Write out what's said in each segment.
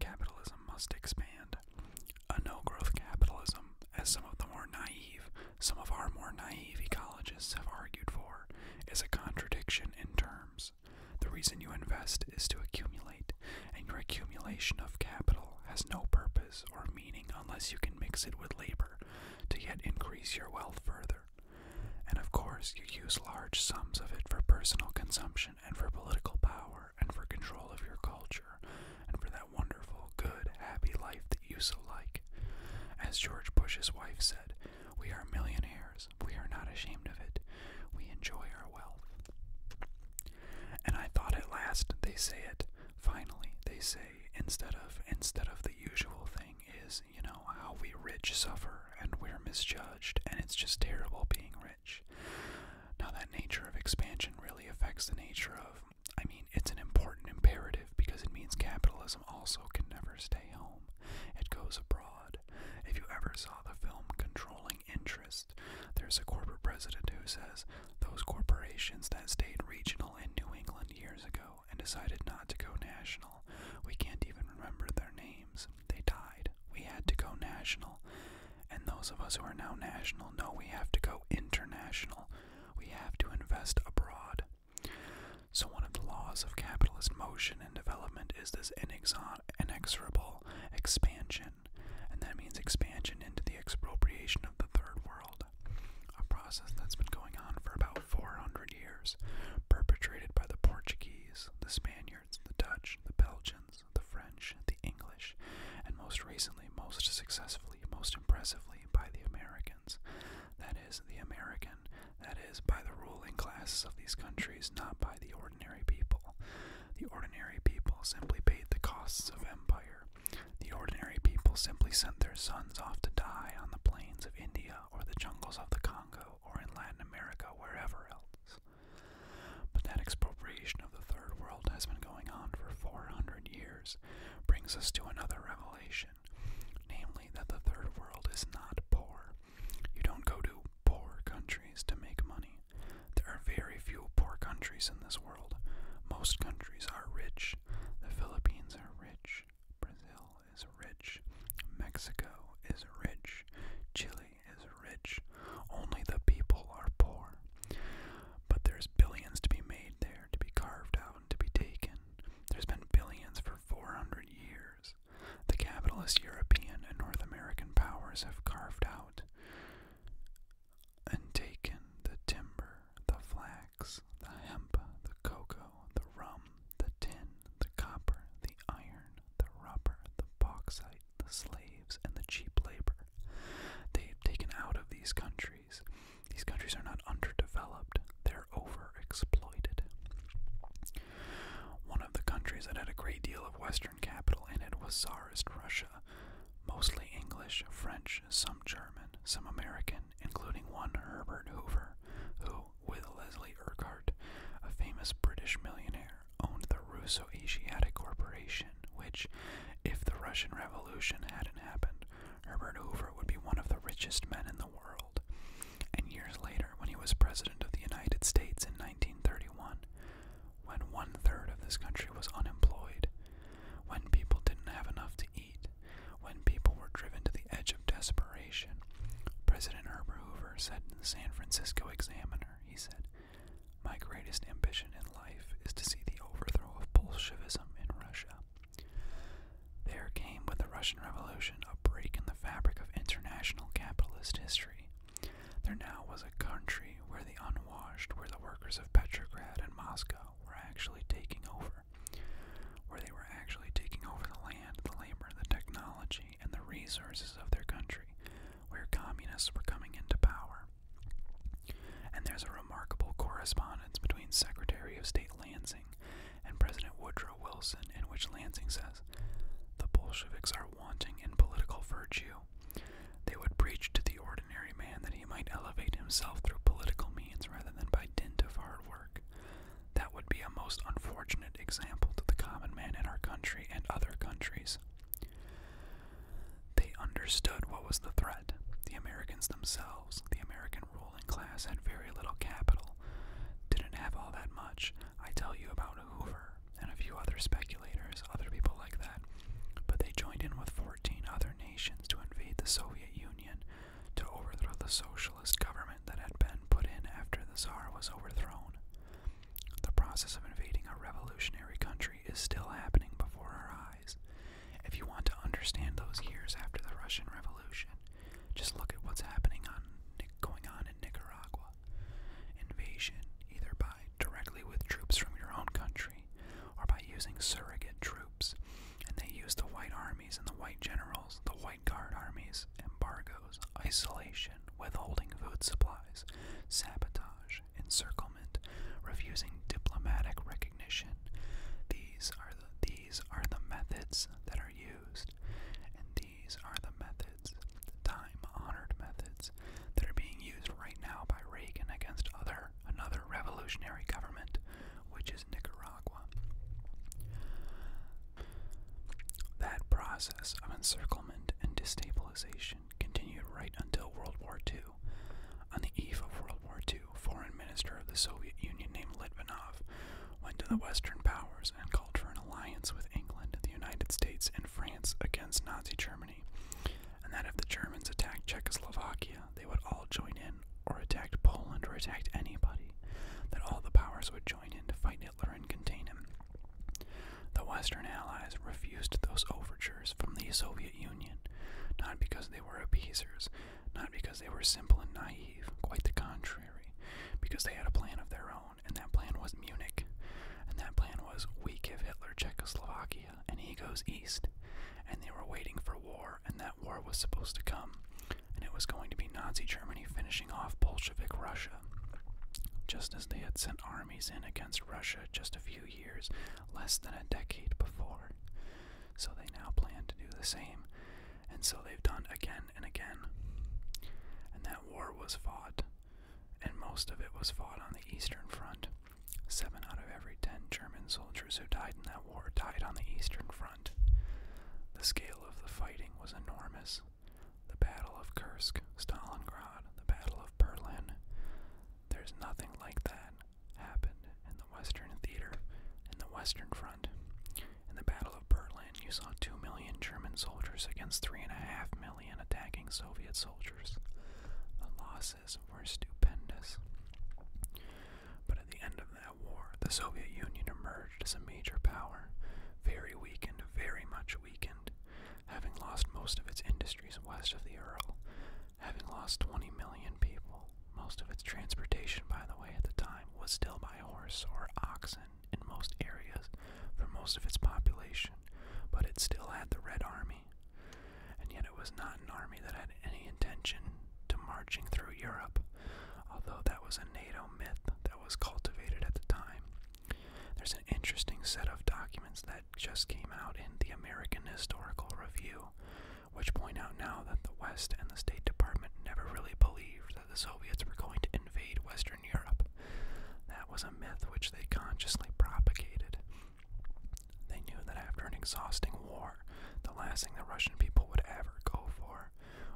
Capitalism must expand. A no growth capitalism, as some of the more naive, our more naive ecologists have argued for, is a contradiction in terms. The reason you invest is to accumulate, and your accumulation of capital has no purpose or meaning unless you can mix it with labor to yet increase your wealth further. And of course, you use large sums of it for personal consumption and for political power and for control of your culture and for that wonderful, good, happy life that you so like. As George Bush's wife said, we are millionaires. We are not ashamed of it. We enjoy our wealth. And I thought at last they say it. Finally, they say instead of instead of the usual thing is, you know, how we rich suffer and we're misjudged and it's just terrible being rich rich. Now, that nature of expansion really affects the nature of, I mean, it's an important imperative because it means capitalism also can never stay home. It goes abroad. If you ever saw the film Controlling Interest, there's a corporate president who says, Those corporations that stayed regional in New England years ago and decided not to go national, we can't even remember their names. They died. We had to go national. And those of us who are now national know we have to go international. We have to invest abroad. So, one of the laws of capitalist motion and development is this inexorable expansion, and that means expansion into the expropriation of the third world, a process that's been going on for about 400 years, perpetrated by the Portuguese, the Spaniards, the Dutch, the Belgians the French, the English, and most recently, most successfully, most impressively by the Americans. That is, the American, that is, by the ruling classes of these countries, not by the ordinary people. The ordinary people simply paid the costs of empire. The ordinary people simply sent their sons off to die on the plains of India or the jungles of the Congo or in Latin America, wherever else. But that expropriation of the third world has been going on for 400 years, brings us to another revelation, namely that the third world is not poor. You don't go to poor countries to make money. There are very few poor countries in this world. Most countries are rich. The Philippines are rich. Brazil is rich. Mexico is rich. Chile is rich, only the people are poor. But there's billions to be made there, to be carved out, and to be taken. There's been billions for 400 years. The capitalist European and North American powers have carved out and taken the timber, the flax, the hemp, the cocoa, the rum, the tin, the copper, the iron, the rubber, the bauxite the slaves and the cheap labor they've taken out of these countries. These countries are not underdeveloped, they're overexploited. One of the countries that had a great deal of Western capital in it was Tsarist Russia, mostly English, French, some German, some American, including one Herbert Hoover, who, with Leslie Urquhart, a famous British millionaire, owned the Russo Asiatic Corporation, which, if the Russian Revolution hadn't happened, Herbert Hoover would be one of the richest men in the world. And years later, when he was President of the United States in 1931, when one third of this country was unemployed, when people didn't have enough to eat, when people were driven to the edge of desperation, President Herbert Hoover said in the San Francisco Examiner, he said, my greatest ambition in life is to see the overthrow of Bolshevism in Russia. There came with the Russian Revolution a break in the fabric of international capitalist history. There now was a country where the unwashed, where the workers of Petrograd and Moscow were actually taking over, where they were actually taking over the land, the labor, the technology, and the resources of their country, where communists were coming into power. And there's a remarkable correspondence between Secretary of State Lansing and President Woodrow Wilson, in which Lansing says, The Bolsheviks are wanting in political virtue. They would preach to the ordinary man that he might elevate himself through political means rather than by dint of hard work. That would be a most unfortunate example to the common man in our country and other countries. They understood what was the threat. The Americans themselves, the American ruling class, had very little capital, didn't have all that much. I tell you about Hoover and a few other speculators, other people like that. But they joined in with 14 other nations to invade the Soviet Union to overthrow the socialist government that had been put in after the czar was overthrown. The process of invading a revolutionary country is still happening before our eyes. If you want to understand those years after the Russian Revolution, just look at what's happening on going on in Nicaragua. Invasion, either by directly with troops from your own country or by using surrogate troops. And they use the white armies and the white generals, the white guard armies, embargo, isolation, withholding food supplies, sabotage, encirclement, refusing diplomatic recognition. These are the, these are the methods that are used, and these are the methods, the time-honored methods, that are being used right now by Reagan against other another revolutionary government, which is Nicaragua. That process of encirclement and destabilization continued right until World War II. On the eve of World War II, Foreign Minister of the Soviet Union named Litvinov went to the Western powers and called for an alliance with England, the United States, and France against Nazi Germany, and that if the Germans attacked Czechoslovakia, they would all join in, or attacked Poland, or attacked anybody, that all the powers would join in to fight Hitler and contain him. The Western Allies refused those overtures from the Soviet Union, not because they were appeasers, not because they were simple and naive, quite the contrary, because they had a plan of their own, and that plan was Munich. And that plan was we give Hitler Czechoslovakia, and he goes east. And they were waiting for war, and that war was supposed to come. And it was going to be Nazi Germany finishing off Bolshevik Russia. Just as they had sent armies in against Russia just a few years, less than a decade before. So they now plan to do the same, and so they've done again and again. And that war was fought, and most of it was fought on the Eastern Front. Seven out of every ten German soldiers who died in that war died on the Eastern Front. The scale of the fighting was enormous the Battle of Kursk, Stalingrad, the Battle of Berlin. There's nothing like that happened in the Western theater, in the Western Front. In the Battle of Berlin, you saw 2 million German soldiers against 3.5 million attacking Soviet soldiers. The losses were stupendous. But at the end of that war, the Soviet Union emerged as a major power, very weakened, very much weakened, having lost most of its industries west of the Earl, having lost 20 million people. Most of its transportation, by the way, at the time was still by horse or oxen in most areas for most of its population, but it still had the Red Army. And yet it was not an army that had any intention to marching through Europe, although that was a NATO myth that was cultivated at the time. There's an interesting set of documents that just came out in the American Historical Review, which point out now that the West and the State Department never really believed that the Soviets were going to invade Western Europe. That was a myth which they consciously propagated. They knew that after an exhausting war, the last thing the Russian people would ever go for,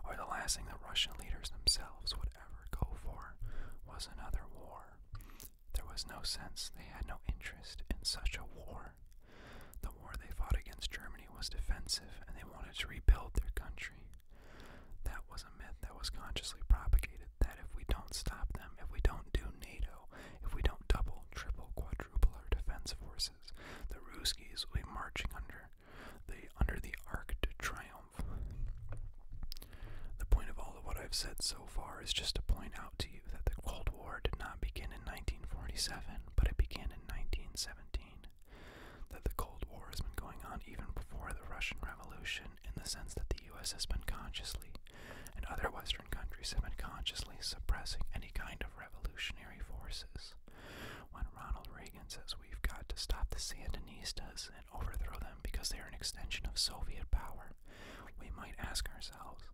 or the last thing the Russian leaders themselves would ever go for, was another war. There was no sense they had no interest in such a war. The war they fought against Germany was defensive and they wanted to rebuild their country. That was a myth that was consciously propagated that if we don't stop them, if we don't do NATO, if we don't double, triple, quadruple our defense forces, the Ruskies will be marching under the under the Arc de Triomphe the point of all of what I've said so far is just to point out to you that the Cold War did not begin in 1947, but it began in 1917. That the Cold War has been going on even before the Russian Revolution, in the sense that the U.S. has been consciously, and other Western countries have been consciously suppressing any kind of revolutionary forces. When Ronald Reagan says we've got to stop the Sandinistas overthrow them because they are an extension of Soviet power. We might ask ourselves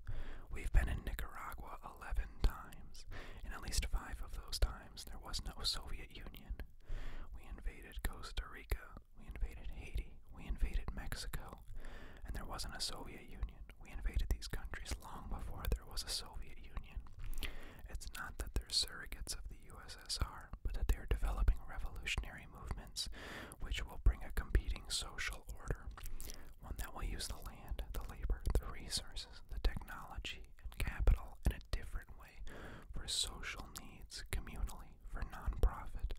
we've been in Nicaragua 11 times, and at least five of those times there was no Soviet Union. We invaded Costa Rica, we invaded Haiti, we invaded Mexico, and there wasn't a Soviet Union. We invaded these countries long before there was a Soviet Union. It's not that they're surrogates of the USSR but that they are developing revolutionary movements which will bring a competing social order, one that will use the land, the labor, the resources, the technology, and capital in a different way for social needs communally, for non-profit,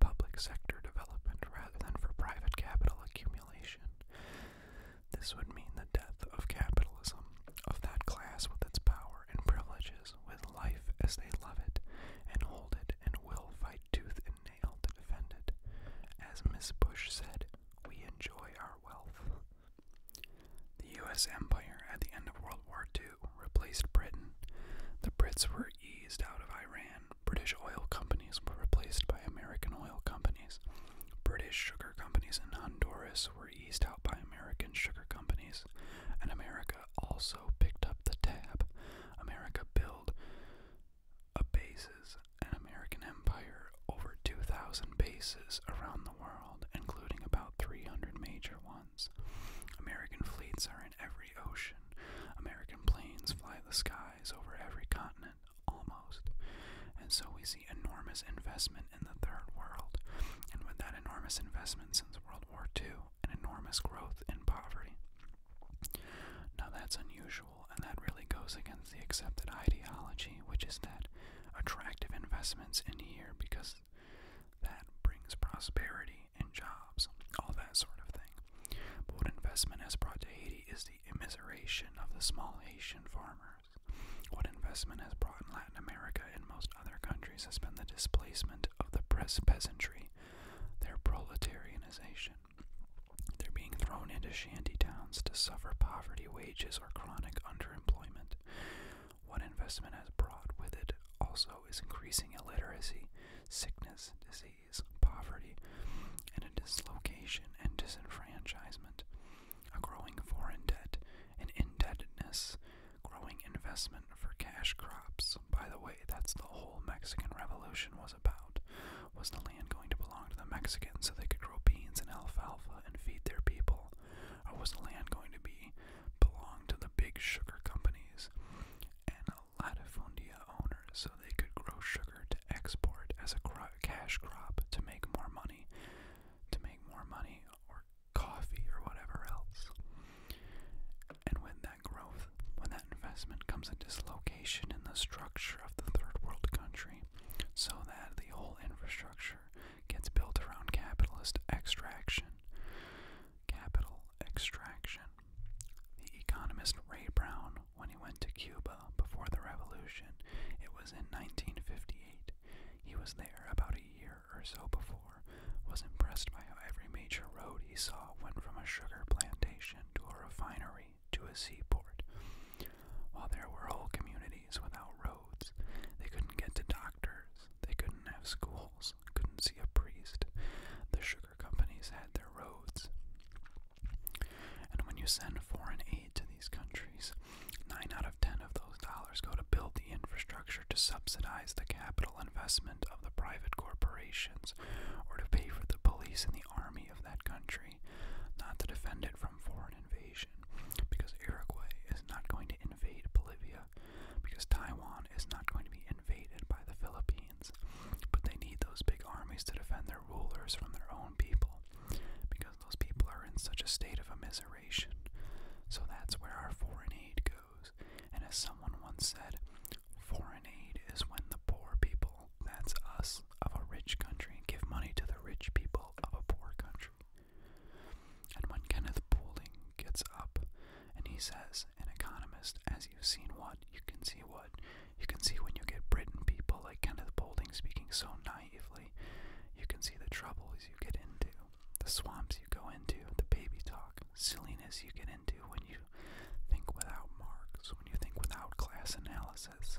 public sector development rather than for private capital accumulation. This would mean the death of capitalism, of that class with its power and privileges with life as they love it and hold it and will fight tooth and nail to defend it. As Miss Bush said, we enjoy our wealth. The U.S. Empire at the end of World War II replaced Britain. The Brits were eased out of Iran. British oil companies were replaced by American oil companies. British sugar companies in Honduras were eased out by American sugar companies, and America also picked up the tab America built a bases, an American empire, over 2,000 bases around the world, including about 300 major ones. American fleets are in every ocean. American planes fly the skies over every continent, almost. And so we see enormous investment in the third world. And with that enormous investment since World War II, an enormous growth in poverty. Now that's unusual, and that really goes against the accepted ideology, which is that attractive investments in here because that brings prosperity and jobs, all that sort of thing. But what investment has brought to Haiti is the immiseration of the small Haitian farmers. What investment has brought in Latin America and most other countries has been the displacement of the peasantry their proletarianization. They're being thrown into shanty towns to suffer poverty wages or chronic underemployment. What investment has brought with it also is increasing illiteracy, sickness, disease, poverty, and dislocation and disenfranchisement, a growing foreign debt, an indebtedness, growing investment for cash crops, that's, by the way, that's the whole Mexican Revolution was about. Was the land going to belong to the Mexicans so they could grow beans and alfalfa and feed their people? Or was the land going to be belong to the big sugar companies and latifundia owners so they could grow sugar to export as a cro cash crop to make more money, to make more money or coffee or whatever else? And when growth, when that investment, comes a dislocation in the structure of the third world country so that the whole infrastructure gets built around capitalist extraction. Capital extraction. The economist Ray Brown, when he went to Cuba before the revolution, it was in 1958. He was there about a year or so before was impressed by how every major road he saw went from a sugar plantation to a refinery to a seaport. While there were whole communities without roads, they couldn't get to doctors, they couldn't have schools, couldn't see a priest. The sugar companies had their roads. And when you send foreign aid to these countries, nine out of ten of those dollars go to build the infrastructure to subsidize the capital investment of the private corporations or to pay for the police and the army of that country, not to defend it from foreign invasion, because Uruguay is not going to invade Bolivia, because Taiwan is not going to be invaded by the Philippines, but they need those big armies to defend their rulers from their own people, because those people are in such a state of immiseration. So that's where our foreign aid goes. And as someone once said, Foreign aid is when the poor people, that's us, of a rich country give money to the rich people of a poor country. And when Kenneth Boulding gets up and he says, An economist, as you've seen what, you can see what. You can see when you get Britain people like Kenneth Boulding speaking so naively, you can see the troubles you get into, the swamps you go into, the baby talk, silliness you get into when you you think without marks, when you think without class analysis.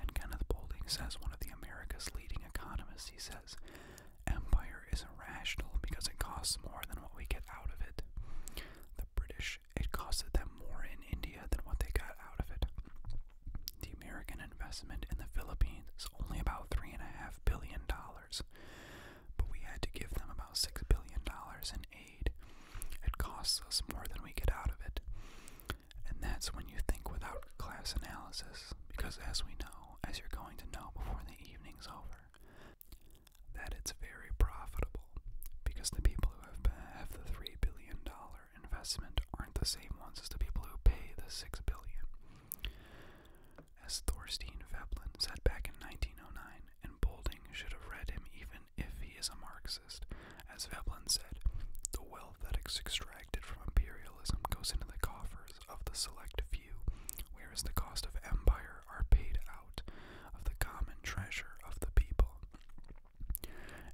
And Kenneth Boulding says, one of the America's leading economists, he says, empire is irrational because it costs more than what we get out of it. The British, it costed them more in India than what they got out of it. The American investment in the Philippines is only about $3.5 billion but we had to give them about $6 billion in aid. It costs us more than we get out of it. And that's when you think without class analysis, because as we know, as you're going to know before the evening's over, that it's very profitable, because the people who have, the $3 billion investment aren't the same ones as the people who pay the $6 billion. As Thorstein Veblen said back in 1909, and Bolding should have read him even if he is a Marxist. As Veblen said, the wealth that is extracted from imperialism goes into the coffers of the select few, whereas the cost of empire are paid out of the common treasure of the people.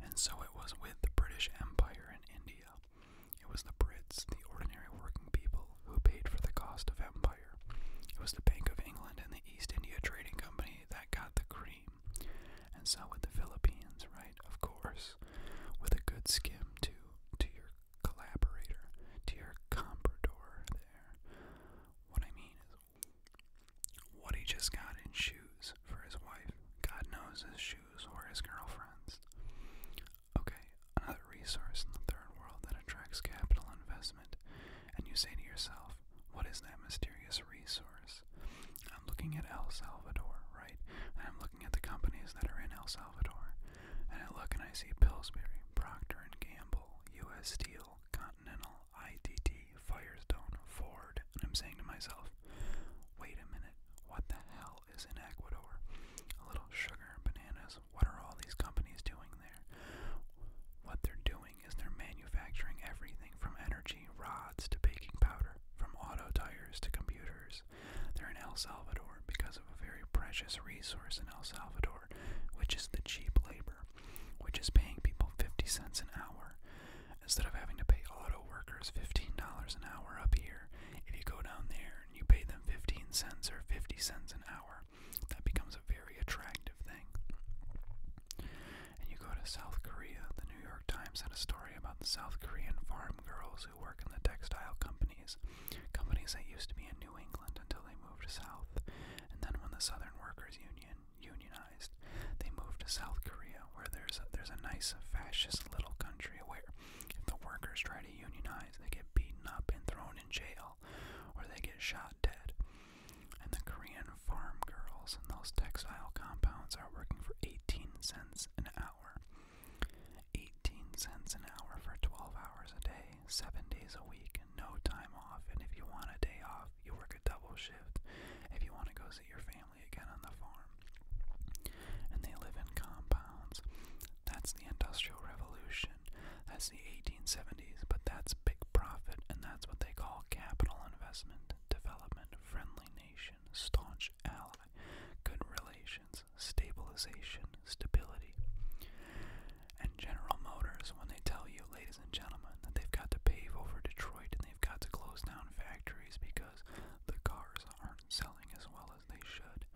And so it was with the British Empire in India. It was the Brits, the ordinary working people, who paid for the cost of empire. Empire. It was the Bank of England and the East India Trading Company that got the cream. And so with the Philippines, right? Of course. With a good skim to to your collaborator, to your comprador there. What I mean is what he just got in shoes for his wife. God knows his shoes or his girlfriend's. Okay, another resource in the third world that attracts capital investment and you say to yourself, what is that mysterious resource? I'm looking at El Salvador, right? I'm looking at the companies that are in El Salvador. And I look and I see Pillsbury, Procter & Gamble, U.S. Steel, Continental, ITT, Firestone, Ford. And I'm saying to myself, wait a minute, what the hell is in Ecuador? A little sugar, and bananas, what are all these companies doing there? What they're doing is they're manufacturing everything from energy rods to baking powder, from auto tires to computers. They're in El Salvador because of a very precious resource in El Salvador, which is the cheap labor, which is paying people 50 cents an hour. Instead of having to pay auto workers $15 an hour up here, if you go down there and you pay them 15 cents or 50 cents an hour, that becomes a very attractive thing. And you go to South Korea. The New York Times had a story about the South Korean farm girls who work in the textile companies, companies that used to be in New England until they moved south. And then when the Southern Workers Union unionized, they moved to South Korea, where there's a, there's a nice fascist little country where if the workers try to unionize, they get beaten up and thrown in jail, or they get shot dead. And the Korean farm girls and those textile compounds are working for 18 cents an hour. 18 cents an hour for 12 hours a day, 7 days a week, no time off. And if you want a day off, you work a double shift. If you want to go see your family again on the farm. And they live in compounds. That's the Industrial Revolution. Revolution. That's the 1870s, but that's big profit, and that's what they call capital investment, development, friendly nation, staunch ally, good relations, stabilization, stability. And General Motors, when they tell you, ladies and gentlemen, that they've got to pave over Detroit and they've got to close down factories because the cars aren't selling as well as they should,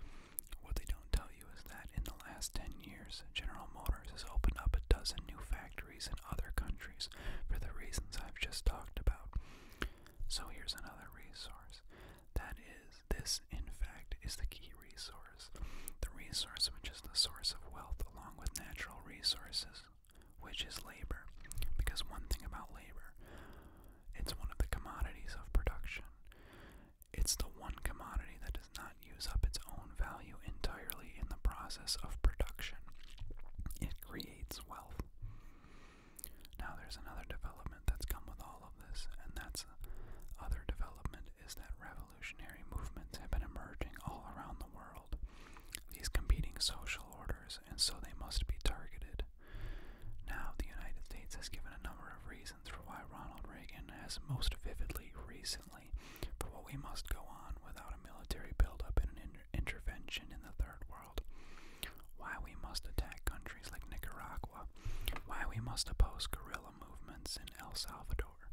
what they don't tell you is that in the last 10 General Motors has opened up a dozen new factories in other countries for the reasons I've just talked about. So here's another resource. That is, this in fact is the key resource. The resource which is the source of wealth along with natural resources, which is labor. Because one thing about labor, it's one of the commodities of production. It's the one commodity that not use up its own value entirely in the process of production. It creates wealth. Now, there's another development that's come with all of this, and that's uh, other development is that revolutionary movements have been emerging all around the world. These competing social orders, and so they must be targeted. Now, the United States has given a number of reasons for why Ronald Reagan has most vividly recently for what we must go on without a military buildup and an intervention in the Third World. Why we must attack countries like Nicaragua. Why we must oppose guerrilla movements in El Salvador.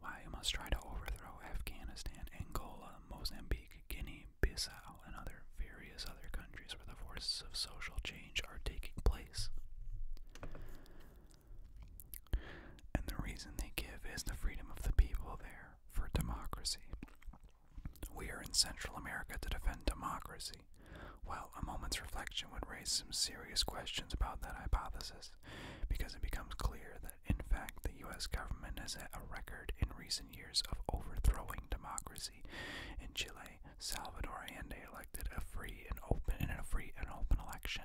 Why we must try to overthrow Afghanistan, Angola, Mozambique, Guinea, Bissau, and other various other countries where the forces of social change are taking place. And the reason they give is the freedom of the people there for democracy. We are in Central America to defend democracy. Well, a moment's reflection would raise some serious questions about that hypothesis, because it becomes clear that, in fact, the U.S. government has had a record in recent years of overthrowing democracy. In Chile, Salvador Allende elected a free and open in a free and open election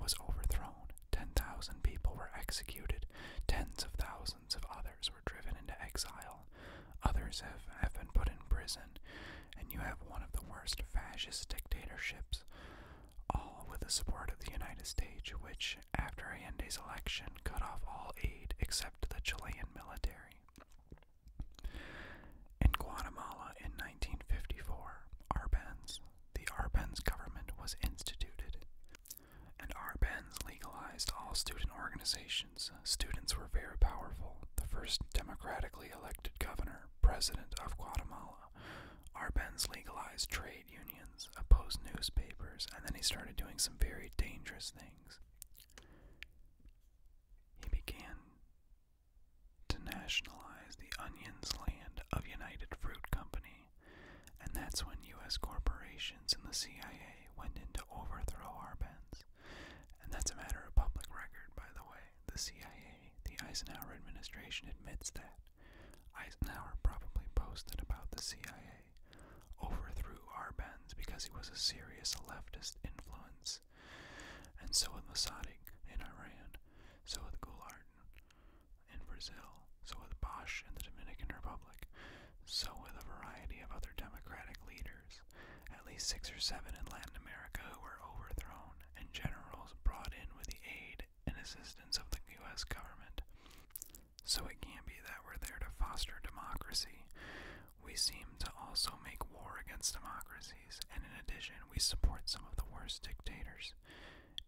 was overthrown. 10,000 people were executed, tens of thousands of others were driven into exile, others have, have been put in prison, and you have one of the worst fascist dictatorships, all with the support of the United States, which, after Allende's election, cut off all aid except to the Chilean military. In Guatemala in 1954, Arbenz, the Arbenz government was instituted, and Arbenz legalized all student organizations. Students were very powerful. The first democratically elected governor, president of Guatemala, Arbenz legalized trade unions, opposed newspapers, and then he started doing some very dangerous things. He began to nationalize the Onions land of United Fruit Company and that's when U.S. corporations and the CIA went in to overthrow Arbenz. And that's a matter of public record, by the way. The CIA, the Eisenhower administration admits that. Eisenhower probably posted about the CIA, overthrew Arbenz because he was a serious leftist influence. And so with Mossadegh in Iran, so with Gulag in Brazil, so with Bosch in the Dominican Republic, so with a variety of other democratic leaders, at least six or seven in Latin America who were overthrown, and generals brought in with the aid and assistance of the U.S. government. So it can't be that we're there to foster democracy. We seem to also make war against democracies, and in addition, we support some of the worst dictators.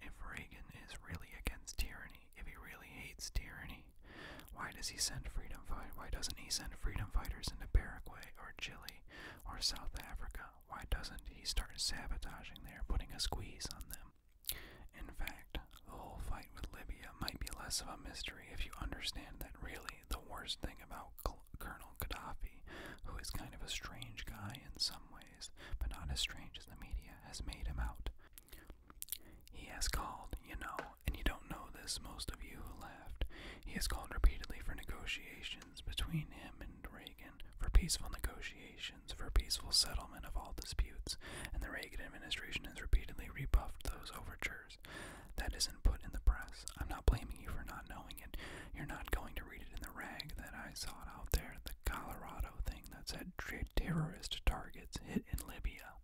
If Reagan is really against tyranny, if he really hates tyranny, why does he send freedom Why doesn't he send freedom fighters into Paraguay or Chile or South Africa? Why doesn't he start sabotaging there, putting a squeeze on them? In fact, the whole fight with Libya might be less of a mystery if you understand that really the worst thing about Col Colonel Gaddafi, who is kind of a strange guy in some ways, ways, but not as strange as the media has made him out. He has called, you know, and you don't know this, most of you who left. He has called repeatedly for negotiations between him and Reagan, for peaceful negotiations, for peaceful settlement of all disputes, and the Reagan administration has repeatedly rebuffed those overtures. That isn't put in the press. I'm not blaming you for not knowing it. You're not going to read it in the rag that I sought out there, the Colorado thing that said terrorist targets hit in Libya.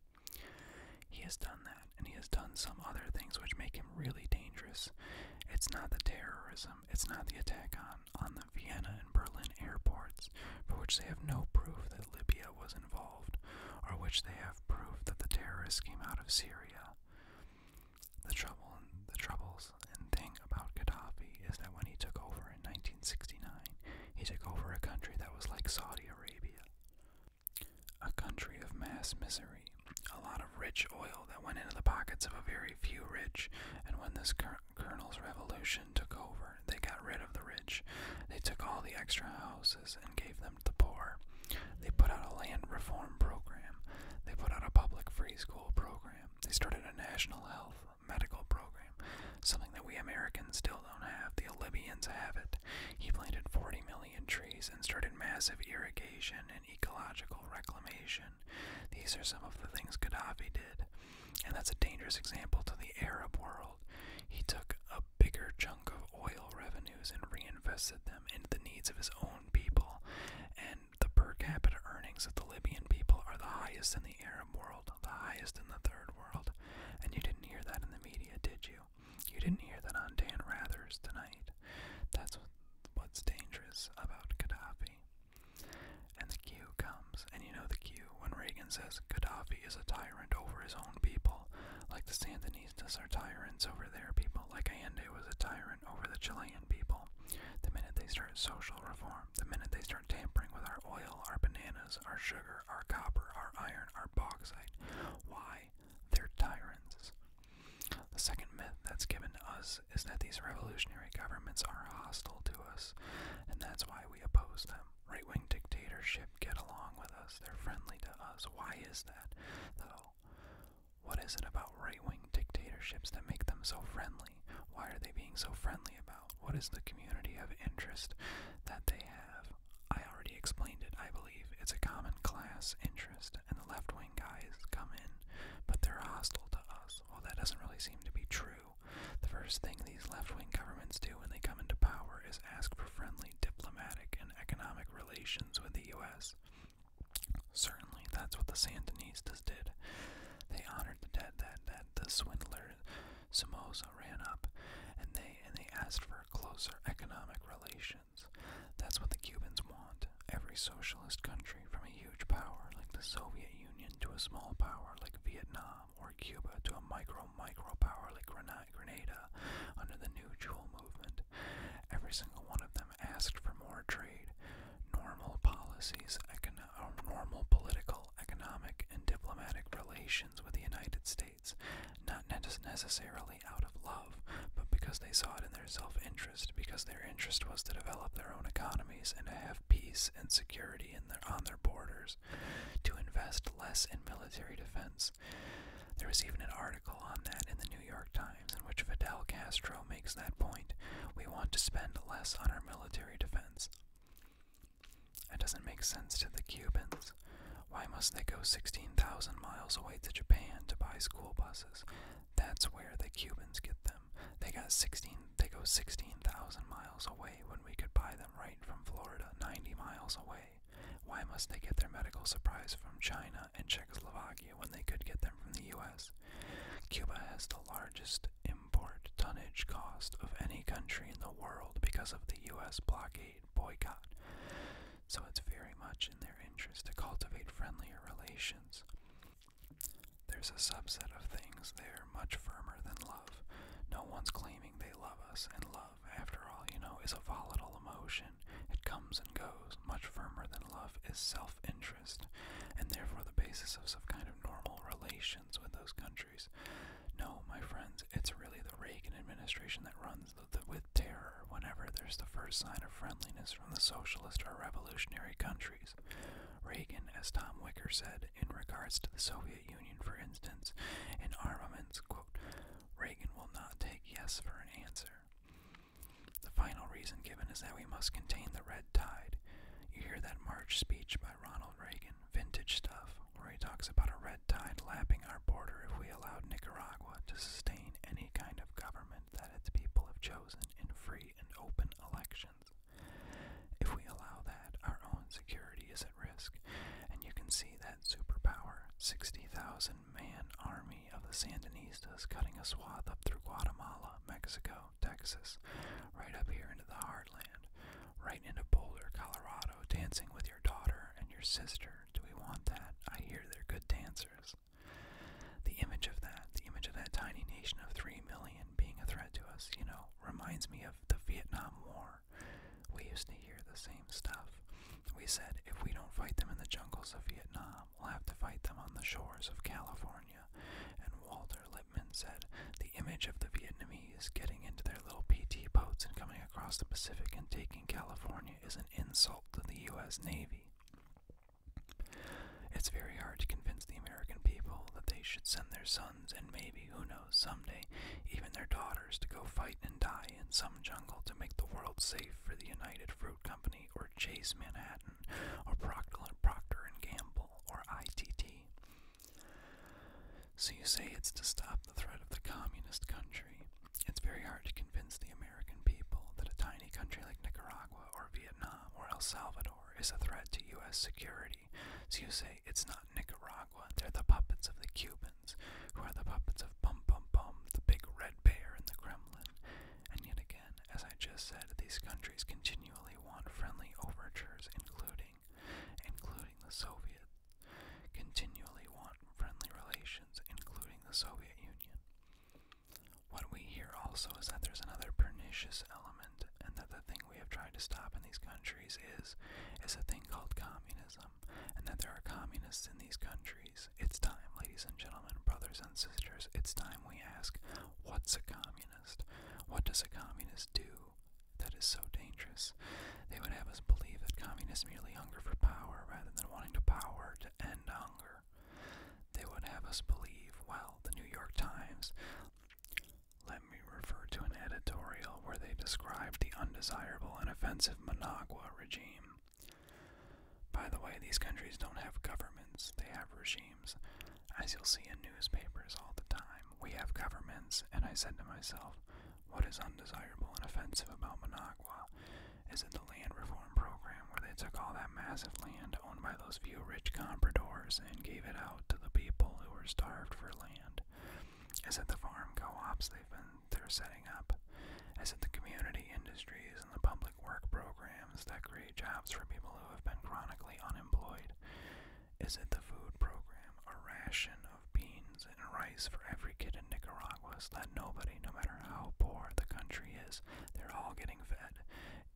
He has done that, and he has done some other things which make him really dangerous. It's not the terrorism, it's not the attack on, on the Vienna and Berlin airports, for which they have no proof that Libya was involved, or which they have proof that the terrorists came out of Syria. The trouble, the trouble and thing about Gaddafi is that when he took over in 1969, he took over a country that was like Saudi Arabia. A country of mass misery, a lot of rich oil that went into the pockets of a very few rich, and when this colonel's revolution took over, they got rid of the rich. They took all the extra houses and gave them to the poor. They put out a land reform program. They put out a public free school program. They started a national health medical program, something that we Americans still don't have. The Libyans have it. He planted 40 million trees and started massive irrigation and ecological reclamation. These are some of the things Gaddafi did. And that's a dangerous example to the Arab world. He took a bigger chunk of oil revenues and reinvested them into the needs of his own people. And the per capita earnings of the Libyan people are the highest in the Arab world, the highest in the third world. And you didn't hear that in the media, did you? You didn't hear that on Dan Rathers tonight. That's what's dangerous about Gaddafi. And the cue comes, and you know the cue when Reagan says Gaddafi is a tyrant over his own people, like the Sandinistas are tyrants over their people, like Allende was a tyrant over the Chilean people. The minute they start social reform, the minute they start tampering with our oil, our bananas, our sugar, our copper, our iron, our bauxite, why? They're tyrants. The second myth that's given to us is that these revolutionary governments are hostile to us, and that's why we oppose them. Right wing dictatorships get along with us, they're friendly to us. Why is that, though? What is it about right wing dictatorships that make them so friendly? Why are they being so friendly about what is the community of interest that they have? I already explained it, I believe. It's a common class interest, and the left wing guys come in, but they're hostile to us. Well, that doesn't really seem to be true. The first thing these left wing governments do when they come into power is ask for friendly diplomatic and economic relations with the U.S. Certainly, that's what the Sandinistas did. They honored the debt that, that the swindler Somoza ran up, and they and they asked for closer economic relations. That's what the Cubans want. Every socialist country, from a huge power like the Soviet Union to a small power like Vietnam or Cuba to a micro micro power like Grenada, under the New Jewel movement, every single one of them asked for more trade normal policies, uh, normal political, economic, and diplomatic relations with the United States, not necessarily out of love, but because they saw it in their self interest, because their interest was to develop their own economies and to have peace and security on their borders, to invest less in military defense. There was even an article on that in the New York Times in which Fidel Castro makes that point. We want to spend less on our military defense. It doesn't make sense to the Cubans. Why must they go 16,000 miles away to Japan to buy school buses? That's where the Cubans get them. They they go 16,000 miles away when we could buy them right from Florida 90 miles away. Why must they get their medical supplies from China and Czechoslovakia when they could get them from the US? Cuba has the largest import tonnage cost of any country in the world because of the US blockade boycott. So it's very much in their interest to cultivate friendlier relations. There's a subset of things there much firmer than love. No one's claiming they love us, and love, after all, you know, is a volatile emotion. It comes and goes. Much firmer than love is self interest, and therefore the basis of some kind of normal relation with those countries. No, my friends, it's really the Reagan administration that runs the, with terror whenever there's the first sign of friendliness from the socialist or revolutionary countries. Reagan, as Tom Wicker said, in regards to the Soviet Union, for instance, in armaments, quote, Reagan will not take yes for an answer. The final reason given is that we must contain the red tide. You hear that March speech by Ronald. Reagan vintage stuff, where he talks about a red tide lapping our border if we allow Nicaragua to sustain any kind of government that its people have chosen in free and open elections. If we allow that, our own security is at risk, and you can see that superpower 60,000 man army of the Sandinistas cutting a swath up through Guatemala, Mexico, Texas, right up here into the heartland, right into Boulder, Colorado, dancing with your daughter and your sister. Do we want that? I hear they're good dancers. The image of that, the image of that tiny nation of 3 million being a threat to us, you know, reminds me of the Vietnam War. We used to hear the same stuff. We said, if we don't fight them in the jungles of Vietnam, we'll have to fight them on the shores of California. And Walter Lipman said, the image of the Vietnamese getting into their little PT boats and coming across the Pacific and taking California is an insult to the U.S. Navy. It's very hard to convince the American people that they should send their sons and maybe, who knows, someday, even their daughters to go fight and die in some jungle to make the world safe for the United Fruit Company or Chase Manhattan or Procter and Gamble or ITT. So you say it's to stop the threat of the communist country. It's very hard to convince the American people that a tiny country like Nicaragua or Vietnam or El Salvador is a threat to U.S. security. So you say it's not Nicaragua, they're the puppets of the Cubans, who are the puppets of Bum Bum Bum, the big red bear in the Kremlin. And yet again, as I just said, these countries continually want friendly overtures, including including the Soviets, continually want friendly relations, including the Soviet Union. What we hear also is that there's another pernicious element, and that the thing we have tried to stop in these countries is is a thing called communism, and that there are communists in these countries. It's time, ladies and gentlemen, brothers and sisters, it's time we ask, what's a communist? What does a communist do? That is so dangerous. They would have us believe that communists merely hunger for power rather than wanting to power to end hunger. They would have us believe, well, the New York Times. Let me refer to an editorial where they described the undesirable and offensive Managua regime. By the way, these countries don't have governments, they have regimes. As you'll see in newspapers all the time, we have governments, and I said to myself, what is undesirable and offensive about Managua? Is it the land reform program where they took all that massive land owned by those few rich compradors and gave it out to the people who were starved for land? Is it the farm co-ops they've been they're setting up? Is it the community industries and the public work programs that create jobs for people who have been chronically unemployed? Is it the food program, a ration of beans and rice for every kid in Nicaragua so that nobody, no matter how poor the country is, they're all getting fed?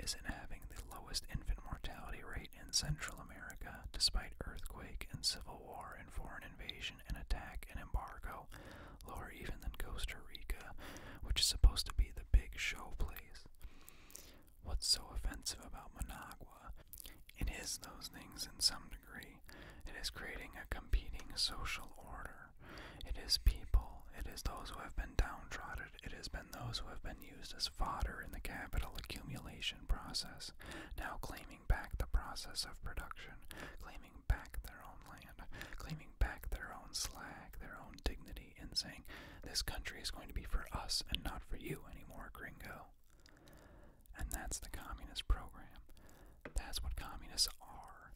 Is it having the lowest infant mortality rate in Central America despite earthquake and civil war and foreign invasion and attack and embargo, lower even than Costa Rica, which is supposed to be the big show place? What's so offensive about Managua? It is those things in some degree. It is creating a competing social order. It is people. It is those who have been downtrodden. It has been those who have been used as fodder in the capital accumulation process, now claiming back the process of production, claiming back their own land, claiming back their own slack, their own dignity, and saying, This country is going to be for us and not for you anymore, gringo. And that's the communist program. That's what communists are.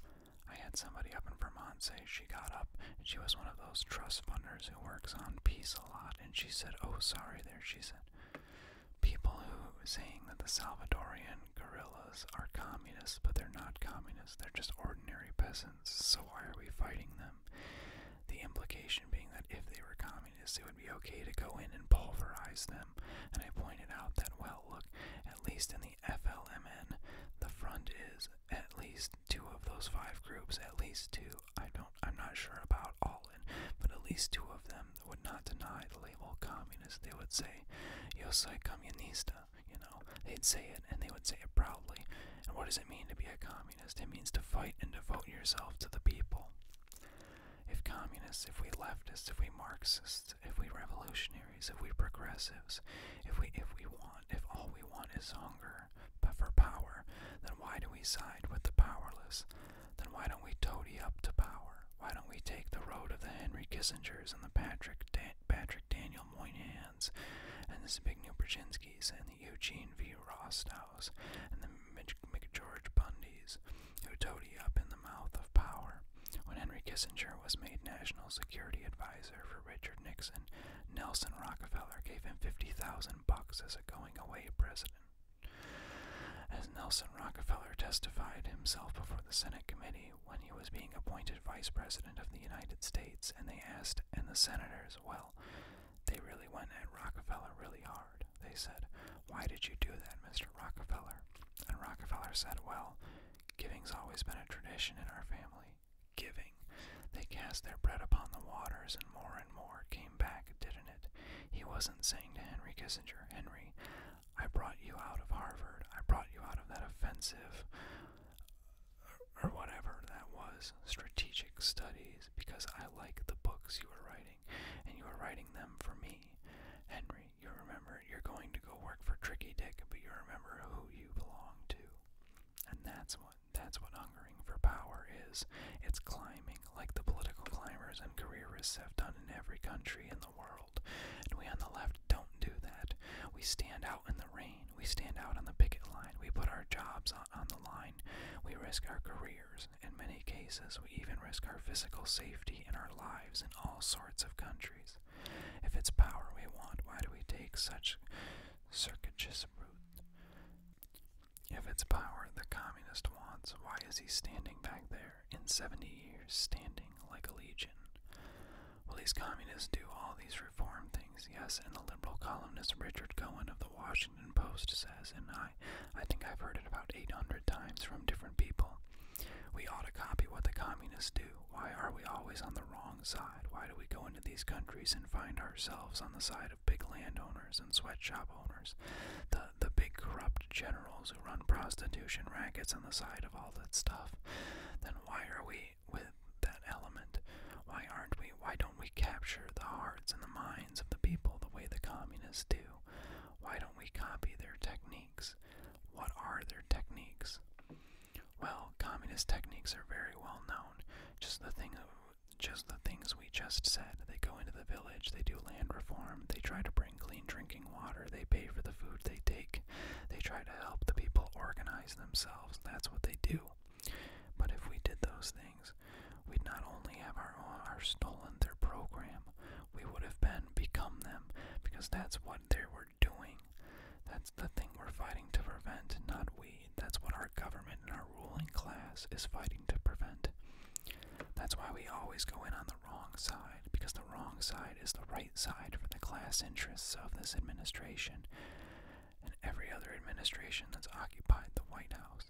I had somebody up in Vermont say she got up she was one of those trust funders who works on peace a lot, and she said, Oh, sorry, there, she said. People who saying that the Salvadorian guerrillas are communists, but they're not communists, they're just ordinary peasants, so why are we fighting them? The implication being that if they were communists, it would be okay to go in and pulverize them. And I pointed out that, well, look, at least in the FLMN, the front is at least two of those five groups, at least two. I don't, I'm not sure about all in, but at least two of them would not deny the label communist. They would say, "Yo soy comunista." You know, they'd say it, and they would say it proudly. And what does it mean to be a communist? it means to fight and devote yourself to the people. If communists, if we leftists, if we Marxists, if we revolutionaries, if we progressives, if we if we want, if all we want is hunger but for power, then why do we side with the powerless? Then why don't we toady up to power? Why don't we take the road of the Henry Kissingers and the Patrick Patrick Daniel Moynans and the Zbigniew Brzezinskis and the Eugene V. Rostow? and the McGeorge Bundys, who toady up in the mouth of power. When Henry Kissinger was made National Security Advisor for Richard Nixon, Nelson Rockefeller gave him fifty thousand bucks as a going away present. As Nelson Rockefeller testified himself before the Senate committee when he was being appointed Vice President of the United States, and they asked, and the senators, well, they really went at Rockefeller really hard. They said, Why did you do that, Mr. Rockefeller? And Rockefeller said, Well, giving's always been a tradition in our family. Giving. They cast their bread upon the waters, and more and more came back, didn't it? He wasn't saying to Henry Kissinger, Henry, I brought you out of Harvard. I brought you out of that offensive or whatever that was, strategic studies, because I like the books you were writing and you are writing them for me. Henry, you remember you're going to go work for Tricky Dick, but you remember who you belong to. And that's what that's what hungering for power is. It's climbing, like the political climbers and careerists have done in every country in the world. And we on the left don't do that. We stand out in the rain. We stand out on the picket line. We put our jobs on on the line, we risk our careers. In many cases, we even risk our physical safety and our lives in all sorts of countries. If it's power we want, why do we take such circuitous route? If it's power the communist wants, why is he standing back there in 70 years, standing like a legion? Well, these communists do all these reform things, yes, and the liberal columnist Richard Cohen of the Washington. Washington Post says, and I, I think I've heard it about 800 times from different people. We ought to copy what the communists do. Why are we always on the wrong side? Why do we go into these countries and find ourselves on the side of big landowners and sweatshop owners, the the big corrupt generals who run prostitution rackets on the side of all that stuff? Then why are we with that element? Why aren't we? Why don't? don't we capture the hearts and the minds of the people the way the communists do? Why don't we copy their techniques? What are their techniques? Well, communist techniques are very well known. Just the thing just the things we just said. They go into the village, they do land reform, they try to bring clean drinking water, they pay for the food they take, they try to help the people organize themselves. That's what they do. But if we did those things, We'd not only have our, our stolen their program, we would have been become them because that's what they were doing. That's the thing we're fighting to prevent, not we. That's what our government and our ruling class is fighting to prevent. That's why we always go in on the wrong side, because the wrong side is the right side for the class interests of this administration and every other administration that's occupied the White House.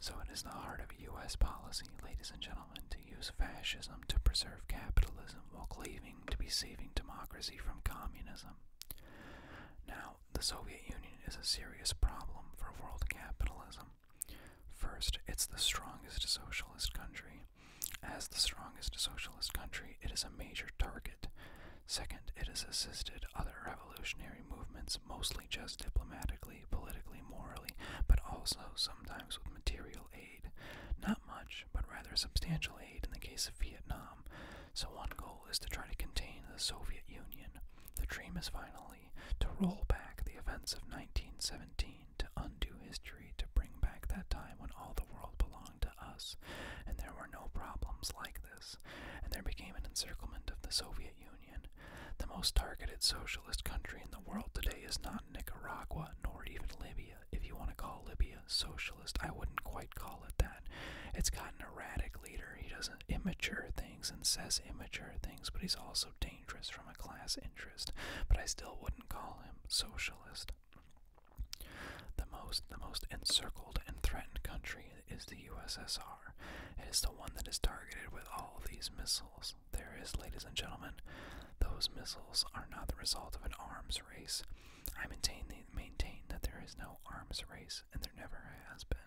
So it is the heart of U.S. policy, ladies and gentlemen, to use fascism to preserve capitalism while cleaving to be saving democracy from communism. Now, the Soviet Union is a serious problem for world capitalism. First, it's the strongest socialist country. As the strongest socialist country, it is a major target. Second, it has assisted other revolutionary movements mostly just diplomatically, politically, morally, but also sometimes with material aid. Not much, but rather substantial aid in the case of Vietnam. So one goal is to try to contain the Soviet Union. The dream is finally to roll back the events of 1917, to undo history, to bring back that time when all the world belonged to us, and there were no problems like this, and there became an encirclement of the Soviet Union. The most targeted socialist country in the world today is not Nicaragua nor even Libya. If you want to call Libya socialist, I wouldn't quite call it that. It's got an erratic leader. He does immature things and says immature things, but he's also dangerous from a class interest. But I still wouldn't call him socialist. The most the most encircled and threatened country it is the USSR. It is the one that is targeted with all these missiles. There is, ladies and gentlemen, those missiles are not the result of an arms race. I maintain that there is no arms race, and there never has been.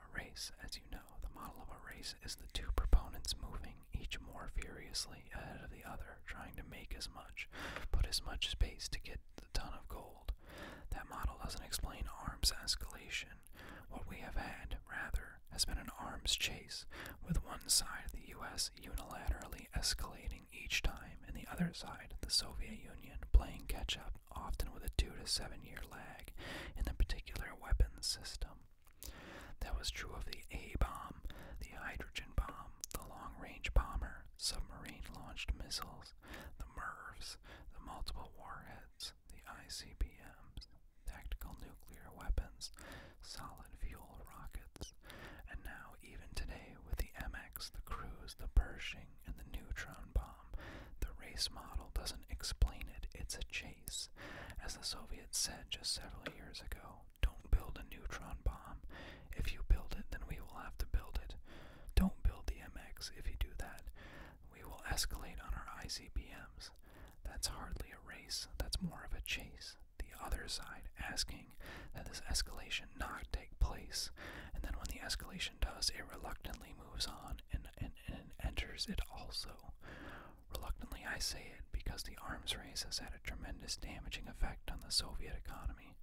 A race, as you know, the model of a race is the two proponents moving, each more furiously ahead of the other, trying to make as much, put as much space to get the ton of gold. That model doesn't explain arms escalation. What we have had, rather, has been an arms chase, with one side of the U.S. unilaterally escalating each time, and the other side, the Soviet Union, playing catch up, often with a two to seven year lag in the particular weapons system. That was true of the A bomb, the hydrogen bomb, the long range bomber, submarine launched missiles, the MIRVs, the multiple warheads, the ICBMs, tactical nuclear weapons, solid fuel rockets, and now, even today, with the MX, the Cruise, the Pershing, and the neutron bomb, the race model doesn't explain it, it's a chase. As the Soviets said just several years ago, don't build a neutron bomb. If you build it, then we will have to build it. Don't build the MX if you do that. We will escalate on our ICBMs. That's hardly a race, that's more of a chase. The other side asking that this escalation not take place, and then when the escalation does, it reluctantly moves on and, enters it also. Reluctantly, I say it because the arms race has had a tremendous damaging effect on the Soviet economy.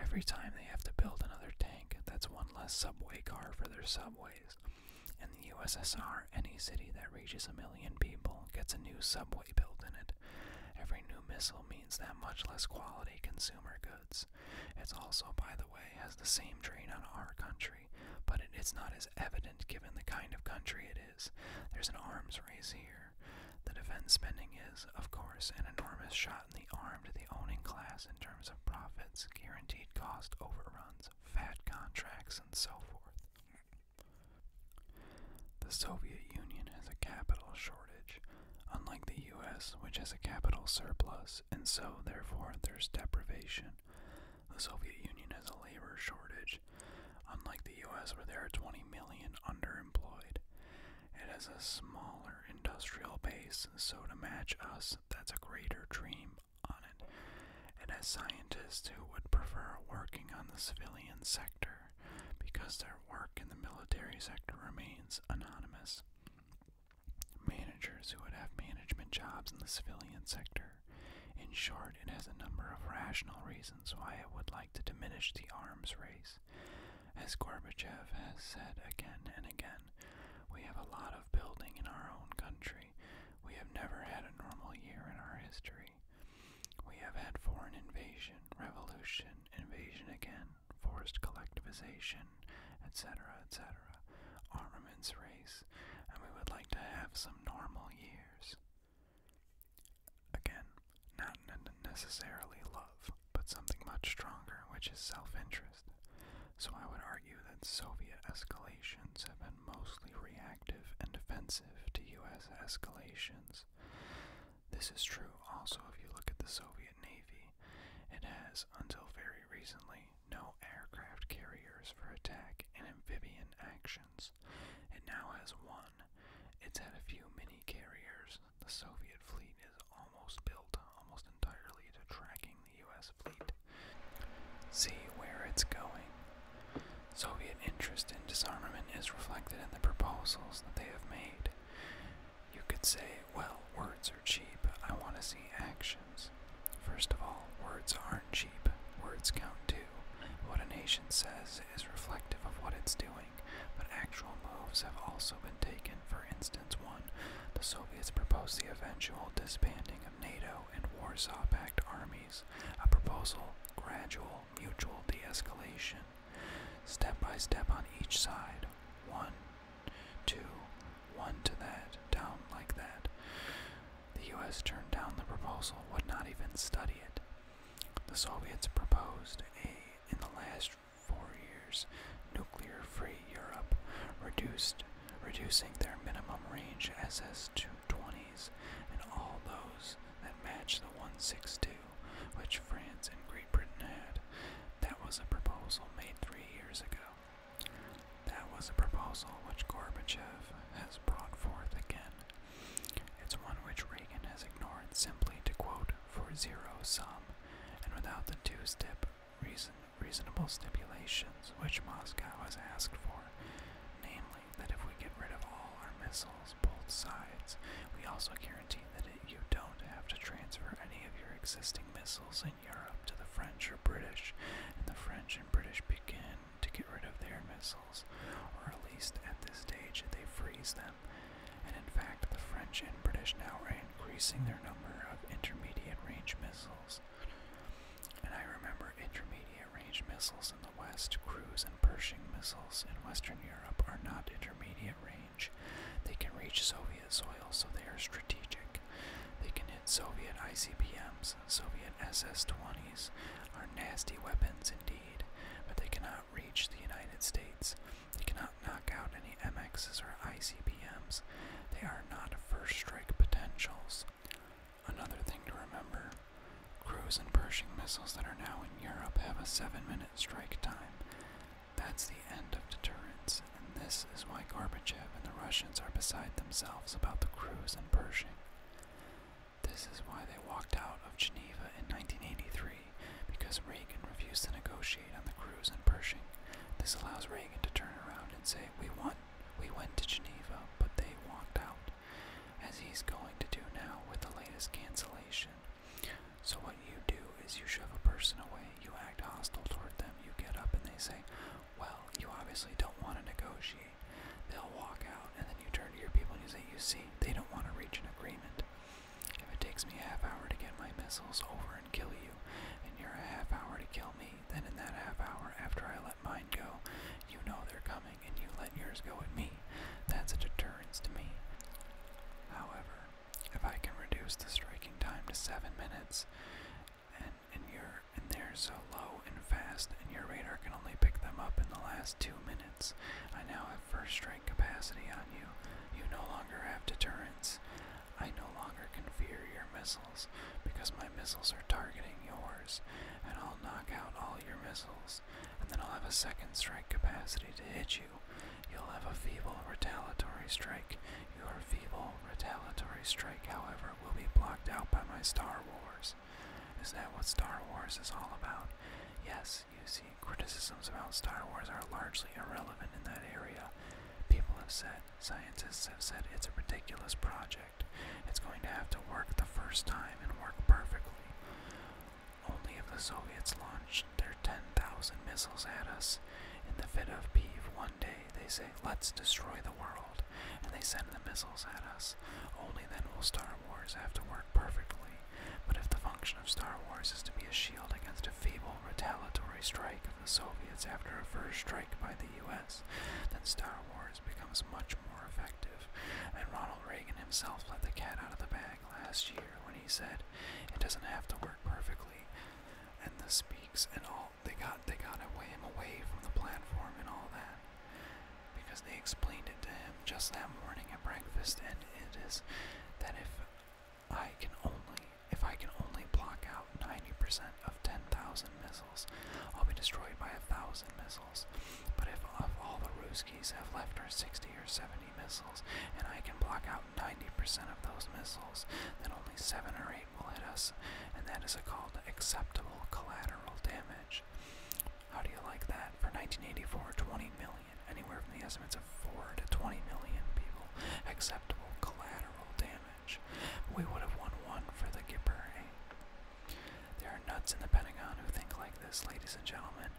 Every time they have to build another tank, that's one less subway car for their subways. In the USSR, any city that reaches a million people gets a new subway built in it. Every new missile means that much less quality consumer goods. It's also, by the way, has the same drain on our country, but it is not as evident given the kind of country it is. There's an arms race here. The defense spending is, of course, an enormous shot in the arm to the owning class in terms of profits, guaranteed cost overruns, fat contracts, and so forth. The Soviet Union has a capital shortage, unlike the US, which has a capital surplus, and so, therefore, there's deprivation. The Soviet Union has a labor shortage, unlike the US, where there are 20 million underemployed. It has a smaller industrial base, so to match us, that's a greater dream on it, and as scientists who would prefer working on the civilian sector because their work in the military sector remains anonymous. Managers who would have management jobs in the civilian sector. In short, it has a number of rational reasons why I would like to diminish the arms race. As Gorbachev has said again and again, we have a lot of building in our own country. We have never had a normal year in our history. We have had foreign invasion, revolution, invasion again, forced collectivization, etc., etc., armaments race, and we would like to have some normal years. Again, not necessarily love, but something much stronger, which is self interest. So I would argue that Soviet escalations have been mostly reactive and defensive to US escalations. This is true also if you look at the Soviet Navy. It has, until very recently, no aircraft carriers for attack and amphibian actions. It now has one. It's had a few mini carriers. The Soviet fleet is almost built almost entirely to tracking the US fleet, see where it's going. Soviet interest in disarmament is reflected in the proposals that they have made. You could say, well, words are cheap, I want to see actions. First of all, words aren't cheap, words count too. What a nation says is reflective of what it's doing, but actual moves have also been taken. For instance, one, the Soviets proposed the eventual disbanding of. NATO and Warsaw Pact armies, a proposal gradual mutual de-escalation, step by step on each side, one, two, one to that, down like that. The U.S. turned down the proposal, would not even study it. The Soviets proposed a, in the last four years, nuclear-free Europe, reduced reducing their minimum range SS-220s and all those that match the 162 which France and Great Britain had. That was a proposal made three years ago. That was a proposal which Gorbachev has brought forth again. It's one which Reagan has ignored simply to quote for zero sum and without the two-step reason reasonable stipulations which Moscow has asked for, namely that if we get rid of all our missiles, both sides, we also guarantee that you don't have to transfer any of your existing missiles in Europe to the French or British, and the French and British begin to get rid of their missiles, or at least at this stage they freeze them. And in fact, the French and British now are increasing their number of intermediate range missiles and I remember intermediate range missiles in the West, cruise and Pershing missiles in Western Europe are not intermediate range. They can reach Soviet soil, so they are strategic. They can hit Soviet ICBMs, Soviet SS 20s, are nasty weapons indeed, but they cannot reach the United States. They cannot knock out any MXs or ICBMs. They are not first strike potentials. Another thing to remember cruise and Pershing missiles that are now in Europe have a seven minute strike time. That's the end of deterrence, and this is why Gorbachev and the Russians are beside themselves about the cruise and Pershing. This is why they walked out of Geneva in 1983, because Reagan refused to negotiate on the cruise and Pershing. This allows Reagan to turn around and say, We want we went to Geneva, but they walked out, as he's going to do now with the latest cancellation. So, what you do is you shove a person away, you act hostile toward them, you get up and they say, Well, you obviously don't want to negotiate. They'll walk out, and then you turn to your people and you say, You see, they don't want to reach an agreement. If it takes me a half hour to get my missiles over and kill you, and you're a half hour to kill me, then in that half hour after I let mine go. You know they're coming, and you let yours go at me. That's a deterrence to me. However, if I can reduce the striking time to seven minutes, and and you're and they're so low and fast, and your radar can only pick them up in the last two minutes, I now have first strike capacity on you. You no longer have deterrence. I no longer can fear your missile because my missiles are targeting yours, and I'll knock out all your missiles, and then I'll have a second strike capacity to hit you. You'll have a feeble retaliatory strike. Your feeble retaliatory strike, however, will be blocked out by my Star Wars. Is that what Star Wars is all about? Yes, you see, criticisms about Star Wars are largely irrelevant in that area. People have said, scientists have said it's a ridiculous project. It's going to have to work the first time and work perfectly. Only if the Soviets launch their 10,000 missiles at us in the fit of peeve one day, they say, let's destroy the world, and they send the missiles at us. Only then will Star Wars have to work perfectly. But if the function of Star Wars is to be a shield against a feeble retaliatory strike of the Soviets after a first strike, strike by the U.S., then Star Wars becomes much more effective. And Ronald Reagan himself let the cat out of the bag last year when he said, "It doesn't have to work perfectly." And the speaks and all they got they got away him away from the platform and all that because they explained it to him just that morning at breakfast, and it is that if I can only if I can only block out. 90% of 10,000 missiles, will be destroyed by 1,000 missiles. But if of all the Ruskies have left her 60 or 70 missiles, and I can block out 90% of those missiles, then only 7 or 8 will hit us, and that is called acceptable collateral damage. How do you like that? For 1984, 20 million, anywhere from the estimates of 4 to 20 million people, acceptable collateral damage match. We would have won one for the Gipper. Eh? There are nuts in the Pentagon who think like this, ladies and gentlemen.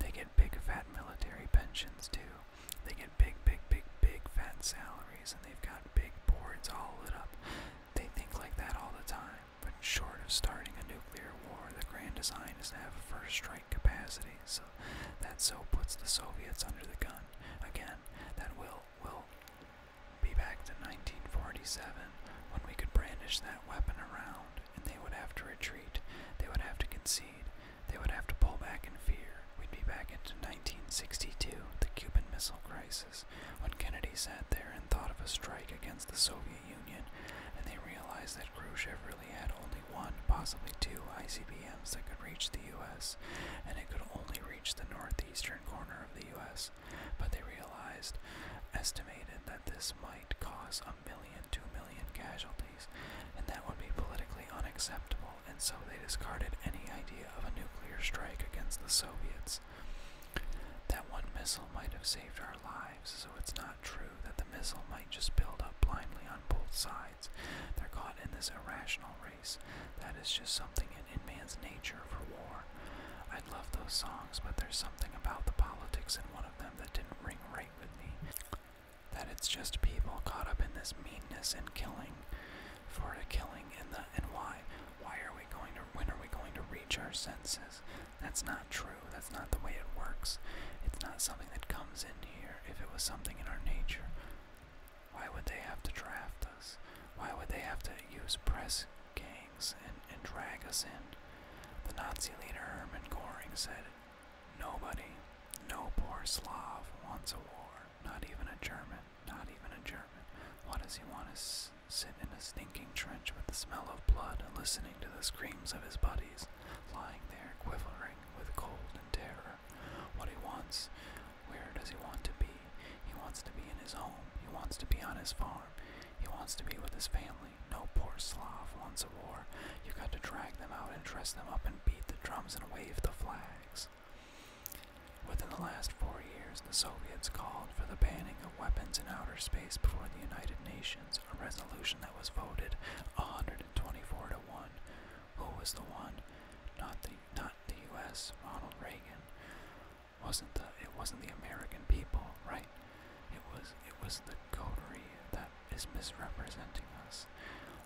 They get big, fat military pensions, too. They get big, big, big, big, fat salaries, and they've got big boards all lit up. They think like that all the time. But short of starting a nuclear war, the grand design is to have a first strike capacity, so that so puts the Soviets under the gun. Again, that will, will, be back to 1947 when we could brandish that weapon around, and they would have to retreat, they would have to concede, they would have to pull back in fear. We'd be back into 1962, the Cuban Missile Crisis, when Kennedy sat there and thought of a strike against the Soviet Union, and they realized that Khrushchev really had only one, possibly two ICBMs that could reach the U.S., and it could only reach the northeastern corner of the U.S but they realized, estimated that this might cause a million, two million casualties, and that would be politically unacceptable, and so they discarded any idea of a nuclear strike against the Soviets. That one missile might have saved our lives, so it's not true that the missile might just build up blindly on both sides. They're caught in this irrational race. That is just something and in man's nature for war. I love those songs, but there's something about the politics in one of them that didn't ring right with me. That it's just people caught up in this meanness and killing for the killing and the and why. Why are we going to when are we going to reach our senses? That's not true. That's not the way it works. It's not something that comes in here. If it was something in our nature, why would they have to draft us? Why would they have to use press gangs and, drag us in. The Nazi leader Hermann Goring said, Nobody, no poor Slav wants a war, not even a German, not even a German. What does he want to sit in a stinking trench with the smell of blood and listening to the screams of his buddies, lying there quivering with cold and terror? What he wants, where does he want to be? He wants to be in his home. He wants to be on his farm. He wants to be with his family. No poor Slav wants a war. You got to drag them out and dress them up and beat the drums and wave the flags. Within the last four years, the Soviets called for the banning of weapons in outer space before the United Nations, a resolution that was voted 124 to 1. Who was the one? Not the, not the U.S., Ronald Reagan wasn't the it wasn't the American people, right? It was it was the coterie that is misrepresenting us.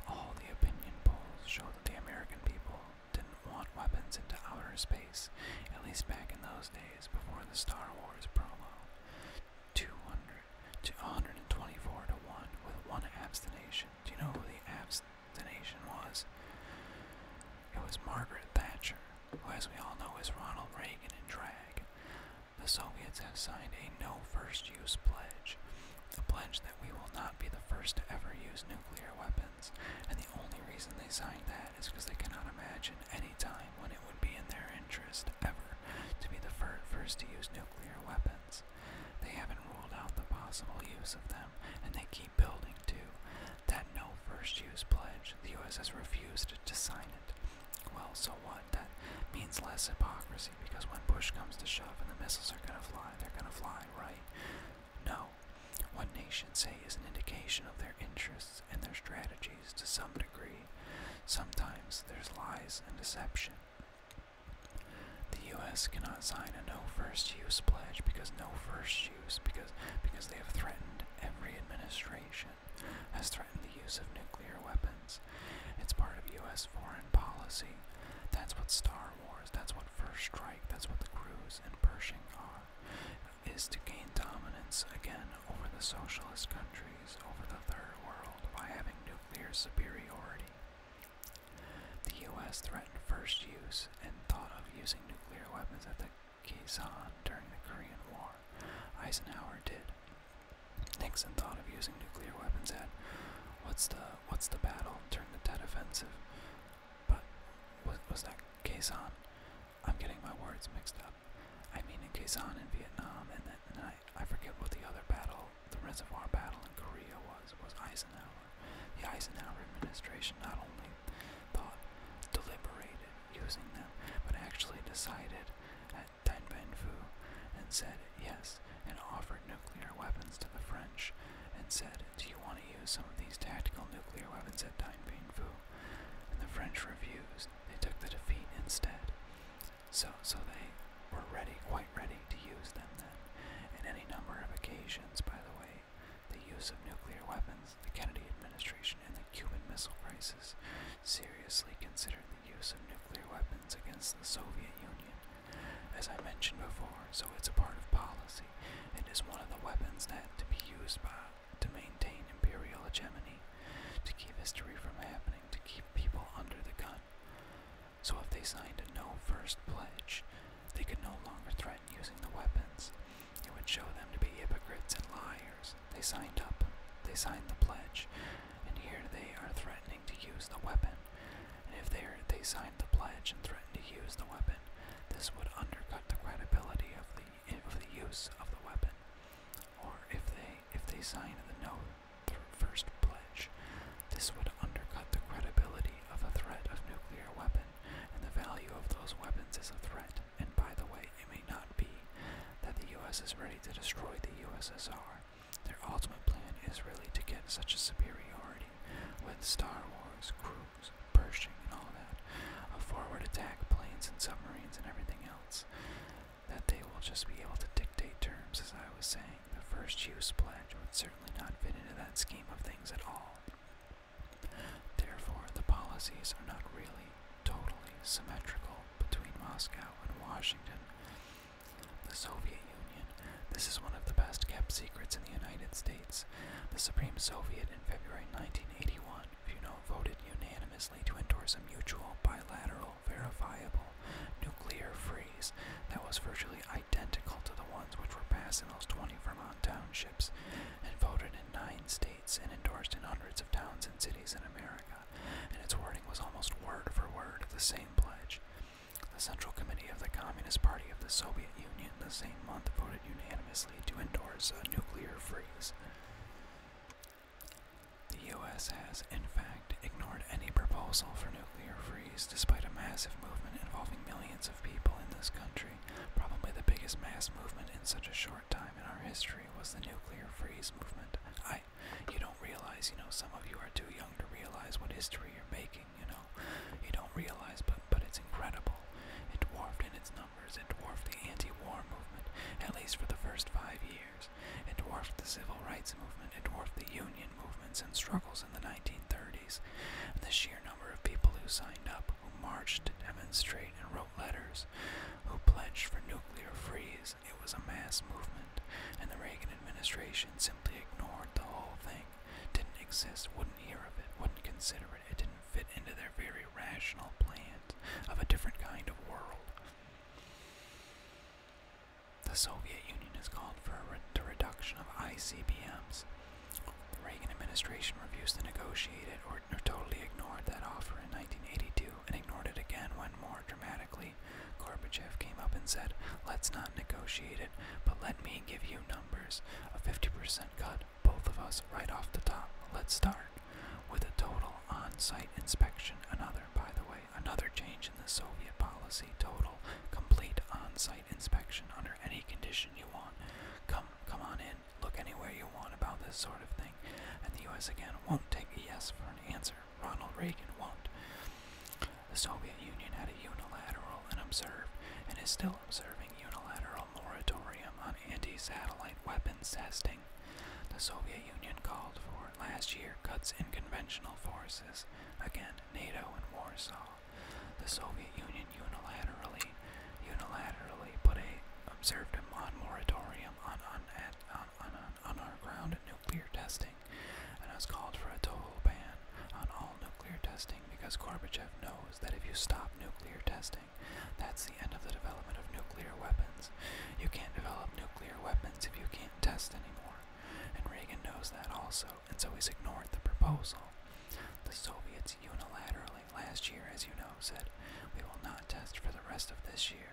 All the opinion polls show that the American people didn't want weapons into outer space, at least back in those days before the Star Wars promo. 200 to 124 to 1 with one abstention. Do you know who the abstention was? It was Margaret Thatcher, who, as we all know, is Ronald Reagan in drag. The Soviets have signed a no first use pledge, a pledge that we will not be the first to ever use nuclear weapons, and the only reason they signed that is because they cannot imagine any time when it would be in their interest ever to be the fir first to use nuclear weapons. They haven't ruled out the possible use of them, and they keep building too that no first use pledge. The USS refused to sign it. Well, so what? That means less hypocrisy because when push comes to shove and the missiles are gonna fly, they're gonna fly, right? No. What nations say is an indication of their interests and their strategies to some degree. Sometimes there's lies and deception. The U.S. cannot sign a no first use pledge because no first because because they have threatened every administration has threatened the use of nuclear weapons. It's part of US foreign policy. That's what Star Wars, that's what First Strike, that's what the Crews and Pershing are is to gain dominance again over the socialist countries, over the third world by having nuclear superiority. The US threatened first use and thought of using nuclear weapons at the Kazan during the Korean War. Eisenhower did. Nixon thought of using nuclear weapons at what's the what's the battle Turn the Tet Offensive, but was, that Kazan? I'm getting my words mixed up. I mean in Kazan in Vietnam, and then I, I forget what the other battle, the Reservoir Battle in Korea was, was Eisenhower. The Eisenhower administration not only thought, deliberated using them, but actually decided at Tainbenfu and said yes, and offered nuclear weapons to the French, and said, Do you want to use some of these tactical nuclear weapons at Tainbenfu? And the French refused. They took the defeat instead. So, so they were ready, quite ready to use them then, in any number of occasions, by the way, the use of nuclear weapons, the Kennedy administration, and the Cuban Missile Crisis seriously considered the use of nuclear weapons against the Soviet Union. As I mentioned before, so it's a part of policy. It is one of the weapons that to be used by to maintain imperial hegemony, to keep history from happening, to keep people under the gun. So if they signed a no first pledge, they could no longer threaten using the weapons. It would show them to be hypocrites and liars. They signed up, they signed the pledge, and here they are threatening to use the weapon. And if they, are, they signed the pledge and threatened to use the weapon, this would undercut the credibility of the, of the use of the weapon. Or if they, if they signed the no th first pledge, this would undercut the credibility of a threat of nuclear weapon, and the value of those weapons is a threat. And by the way, it may not be that the US is ready to destroy the USSR. Their ultimate plan is really to get such a superiority with Star Wars, cruise, Pershing, and all that, a forward attack planes and submarines and everything else, that they will just be able to dictate terms, as I was saying. The first use pledge would certainly not fit into that scheme of things at all. Therefore, the policies are not really totally symmetrical between Moscow and Washington. The Soviet Union. This is one of the best kept secrets in the United States. The Supreme Soviet in February 1981, if you know, voted unanimously to endorse a mutual, bilateral, verifiable, nuclear freeze that was virtually identical to the ones which were passed in those 20 Vermont townships and voted in nine states and endorsed in hundreds of towns and cities in America, and its wording was almost word for word the same pledge. The Central Committee of the Communist Party of the Soviet Union the same month voted unanimously to endorse a nuclear freeze. The U.S. has, in fact, ignored any proposal for nuclear freeze despite a massive movement involving millions of people in this country, probably the biggest mass movement in such a short important time in our history was the nuclear freeze movement. I, you don't realize, you know, some of you are too young to realize what history you're making, you know. You don't realize, but, but it's incredible. It dwarfed in its numbers, it dwarfed the anti-war movement, at least for the first five years. It dwarfed the civil rights movement, it dwarfed the union movements and struggles in the 1930s. The sheer number of people who signed up who marched to demonstrate and wrote letters, who pledged for nuclear freeze. It was a mass movement, and the Reagan administration simply ignored the whole thing. Didn't exist, wouldn't hear of it, wouldn't consider it. It didn't fit into their very rational plans of a different kind of world. The Soviet Union has called for a reduction of ICBMs, the Reagan administration refused to negotiate it or, totally ignored that offer in 1982 and ignored it again when, more dramatically, Gorbachev came up and said, Let's not negotiate it, but let me give you numbers. A 50% cut, both of us, right off the top. Let's start. With a total on site inspection, another, by the way, another change in the Soviet policy total, complete on site inspection under any condition you want. Come, come on in look anywhere you want about this sort of thing, and the US again won't take a yes for an answer. Ronald Reagan won't. The Soviet Union had a unilateral and observed, and is still observing, unilateral moratorium on anti satellite weapons testing. The Soviet Union called for last year cuts in conventional forces, again, NATO and Warsaw. The Soviet Union unilaterally unilaterally put a observed a moratorium on, on, on, on, on our nuclear testing and I was called for a total ban on all nuclear testing because Gorbachev knows that if you stop nuclear testing, that's the end of the development of nuclear weapons. You can't develop nuclear weapons if you can't test anymore. And Reagan knows that also, and so he's ignored the proposal. The Soviets unilaterally last year, as you know, said we will not test for the rest of this year.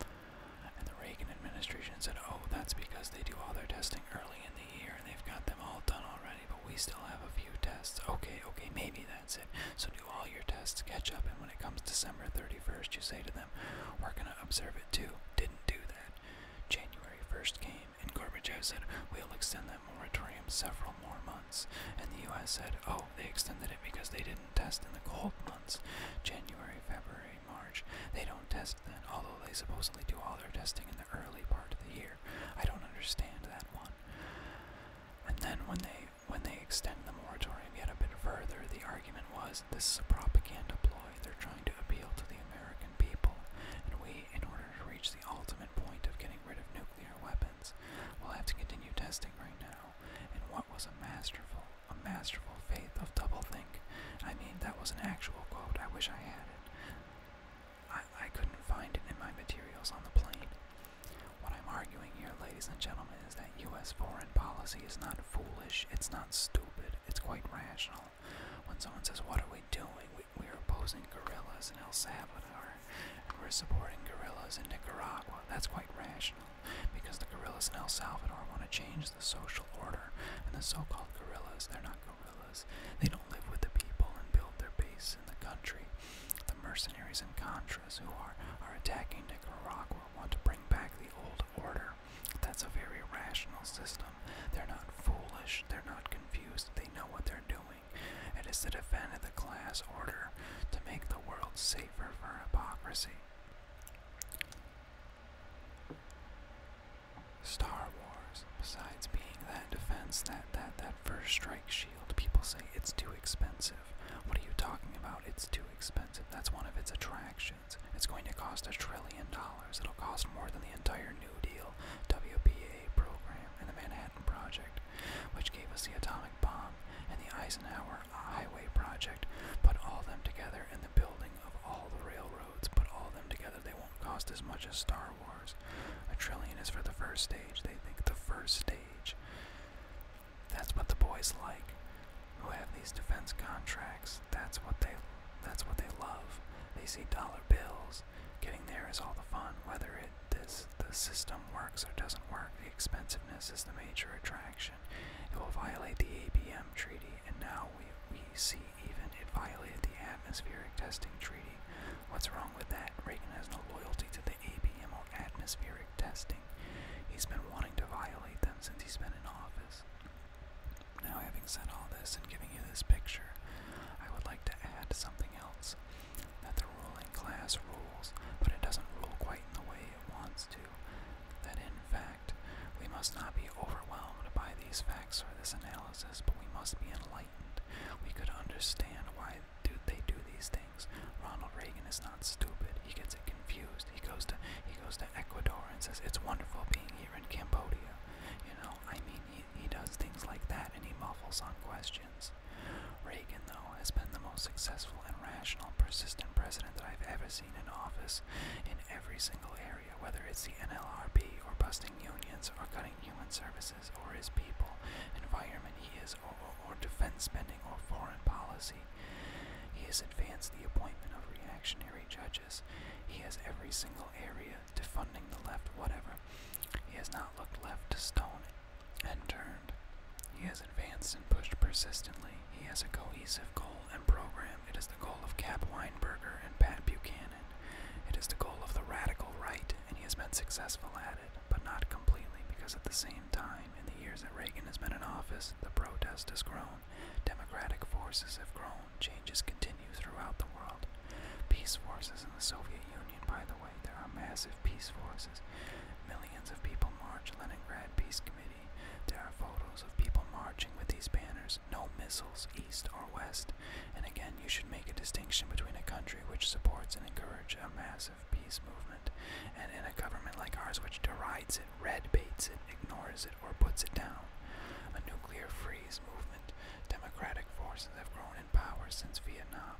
And the Reagan administration said, oh, that's because they do all their testing early in the year and they've got them all done already, but we still have a few tests. Okay, okay, maybe that's it. So do all your tests, catch up, and when it comes December 31st, you say to them, we're going to observe it too. Didn't do that. January 1st came, and Gorbachev said, we'll extend that that moratorium several more months, and the U.S. said, oh, they extended it because they didn't test in the cold months January, February, March. They don't test then, although they supposedly do all their testing in the early part of the year. I don't understand that one. And then when they when they extend the moratorium yet a bit further, the argument was this is a propaganda ploy. They're trying to appeal to the American people, and we, in order to reach the ultimate point of getting rid of nuclear weapons, We'll have to continue testing right now. And what was a masterful, a masterful faith of doublethink. I mean, that was an actual quote. I wish I had it. I, I couldn't find it in my materials on the plane. What I'm arguing here, ladies and gentlemen, is that U.S. foreign policy is not foolish, it's not stupid, it's quite rational. When someone says, What are we doing? We, we're opposing guerrillas in El Salvador war, and we're supporting guerrillas in Nicaragua. That's quite rational, because the guerrillas in El Salvador want to change the social order, and the so-called guerrillas, they're not guerrillas. They don't live with the people and build their base in the country. The mercenaries and Contras who are, are attacking Nicaragua want to bring back the old order. That's a very rational system. They're not foolish, they're not confused, they know what they're doing. It is the defense of the class order to make the world safer for hypocrisy. Star Wars, besides being that defense, that that that first strike shield, people say it's too expensive. What are you talking about? It's too expensive. That's one of its attractions. It's going to cost a trillion dollars. It'll cost more than the entire New Deal WPA program and the Manhattan Manhattan Project, which gave us the atomic bomb, and the Eisenhower Highway Project. Put all them together in the building of all the railroads. Put all them together, they won't cost as much as Star Wars. A trillion is for the first stage. They think the first stage. That's what the boys like, who have these defense contracts. That's what they. That's what they love. They see dollar bills. Getting there is all the fun, whether it this the system works or doesn't work. The expensiveness is the major attraction. It will violate the ABM treaty, and now we we see even it violated the atmospheric testing treaty. What's wrong with that? Reagan has no loyalty to the ABM or atmospheric testing. He's been wanting to violate them since he's been in office. Now, having said all this and giving you this picture, I would like to add something else that the ruling class rules, but it doesn't rule quite in the way it wants to. That in fact, we must not be overwhelmed by these facts or this analysis, but we must be enlightened. We could understand why do they do these things. Ronald Reagan is not stupid. He gets confused. He goes to he goes to Ecuador and says it's wonderful being here in Cambodia. You know, I mean, he he does things like that, and he muffles on questions. Reagan, though, has been the most successful and rational, persistent president that I've ever seen in office in every single area, whether it's the NLRB or busting unions or cutting human services or his people, environment he is, or, defense spending or foreign policy. He has advanced the appointment of reactionary judges. He has every single area defunding the left, whatever. He has not looked left to stone and turned. He has advanced and pushed persistently. He has a cohesive goal and program. It is the goal of Cap Weinberger and Pat Buchanan. It is the goal of the radical right, and he has been successful at it, but not completely, because at the same time, in the years that Reagan has been in office, the protest has grown, democratic forces have grown, changes continue throughout the world. Peace forces in the Soviet Union, by the way, there are massive peace forces. Millions of people march Leningrad Peace Committee. There are photos of people marching with these banners. No missiles, east or west. And again, you should make a distinction between a country which supports and encourages a massive peace movement and in a government like ours which derides it, red baits it, ignores it, or puts it down. A nuclear freeze movement. Democratic forces have grown in power since Vietnam.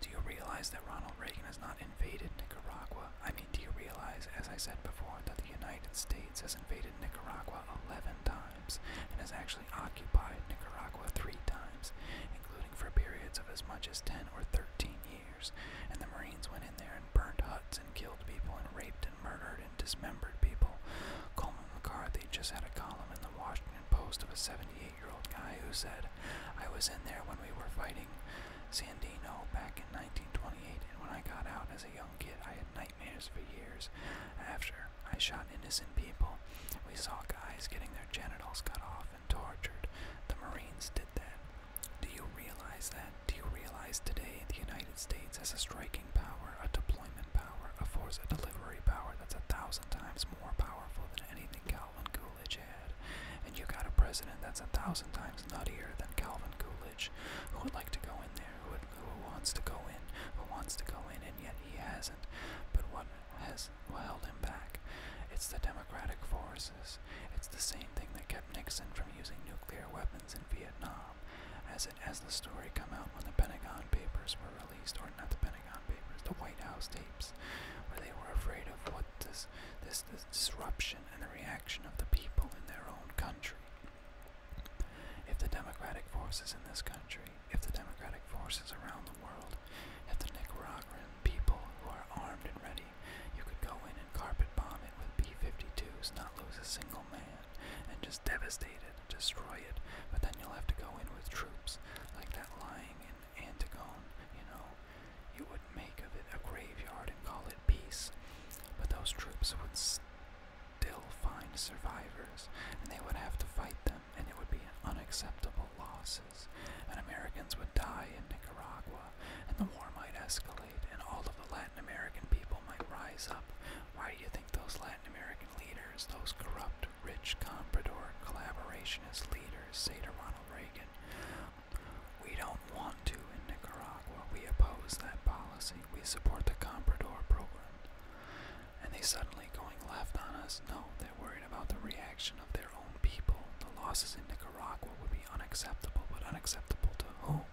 Do you realize that Ronald Reagan has not invaded Nicaragua? I mean, do you realize, as I said before, that the United States has invaded Nicaragua 11 times and has actually occupied Nicaragua three times, including for periods of as much as 10 or 13 years? And the Marines went in there and burned huts and killed people and raped and murdered and dismembered people. Coleman McCarthy just had a column in the Washington Post of a 78 year old guy who said, I was in there when we were fighting Sandino back in 1928, and when I got out as a young kid, I had nightmares for years. After I shot innocent people, we saw guys getting their genitals cut off and tortured. The Marines did that. Do you realize that? Do you realize today the United States has a striking power, a deployment power, a force, a delivery power that's a thousand times more powerful than anything Calvin Coolidge had. And you got a president that's a thousand times nuttier than Calvin Coolidge, who would like to go in there, who, would, who wants to go in, who wants to go in, and yet he hasn't. But what has what held him back? It's the democratic forces. It's the same thing that kept Nixon from using nuclear weapons in Vietnam. As it as the story come out when the Pentagon Papers were released, or not the Pentagon the White House tapes, where they were afraid of what this, this, disruption and the reaction of the people in their own country. If the democratic forces in this country, if the democratic forces around the world, if the Nicaraguan people who are armed and ready, you could go in and carpet bomb it with B 52s, not lose a single man, and just devastate it, destroy it, but then you'll have to go in with troops, like that lying in Antigone, you know. You would make of it a graveyard and call it peace, but those troops would still find survivors, and they would have to fight them, and it would be unacceptable losses, and Americans would die in Nicaragua, and the war might escalate, and all of the Latin American people might rise up. Why do you think those Latin American leaders, those corrupt Rich Comprador collaborationist leaders say to Ronald Reagan, We don't want to in Nicaragua. We oppose that policy. We support the Comprador program. And they suddenly going left on us? No, they're worried about the reaction of their own people. The losses in Nicaragua would be unacceptable, but unacceptable to whom?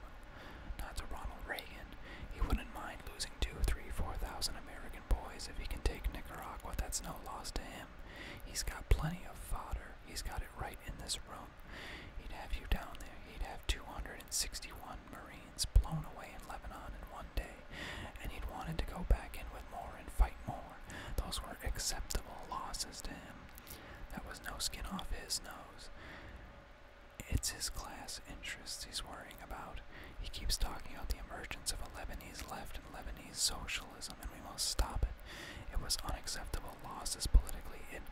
Not to Ronald Reagan. He wouldn't mind losing two, three, four thousand American boys if he can take Nicaragua. That's no loss to him. He's got plenty of fodder. He's got it right in this room. He'd have you down there. He'd have 261 Marines blown away in Lebanon in one day, and he'd wanted to go back in with more and fight more. Those were acceptable losses to him. That was no skin off his nose. It's his class interests he's worrying about. He keeps talking about the emergence of a Lebanese left and Lebanese socialist and we must stop it. It was unacceptable losses politically. It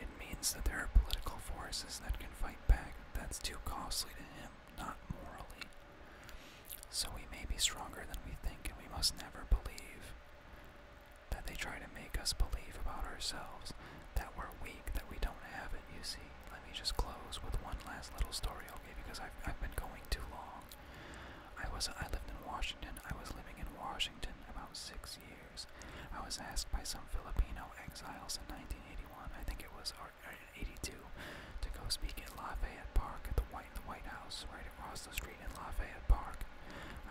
it means that there are political forces that can fight back. That's too costly to him, not morally. So we may be stronger than we think, and we must never believe that they try to make us believe about ourselves that we're weak, that we don't have it. You see, let me just close with one last little story, okay? Because I've I've been going too long. I was I lived in Washington. I was living in Washington about six years. I was asked by some Filipino exiles in 1981, I think it was or, 82, to go speak at Lafayette Park at the White the White House right across the street in Lafayette Park.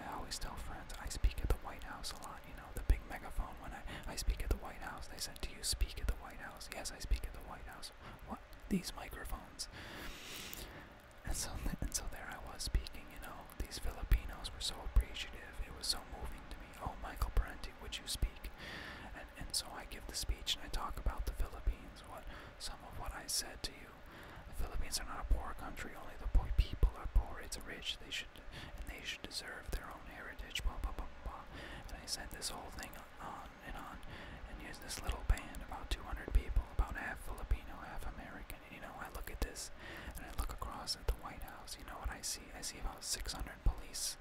I always tell friends I speak at the White House a lot. You know the big megaphone when I I speak at the White House. They said, "Do you speak at the White House?" Yes, I speak at the White House. What? these microphones. And so, and so there I was speaking. You know, these Filipinos were so appreciative. It was so moving to me. Oh, Michael Parenti, would you speak? And and so I give the speech and I talk about the Philippines. What some of what I said to you. The Philippines are not a poor country. Only the poor people are poor. It's rich. They should and they should deserve their own heritage. Blah blah blah blah. And I said this whole thing on and on, and here's this little band, about 200 people, about half Filipino, half American. And, you know, I look at this, and I look across at the White House. You know what I see? I see about 600 police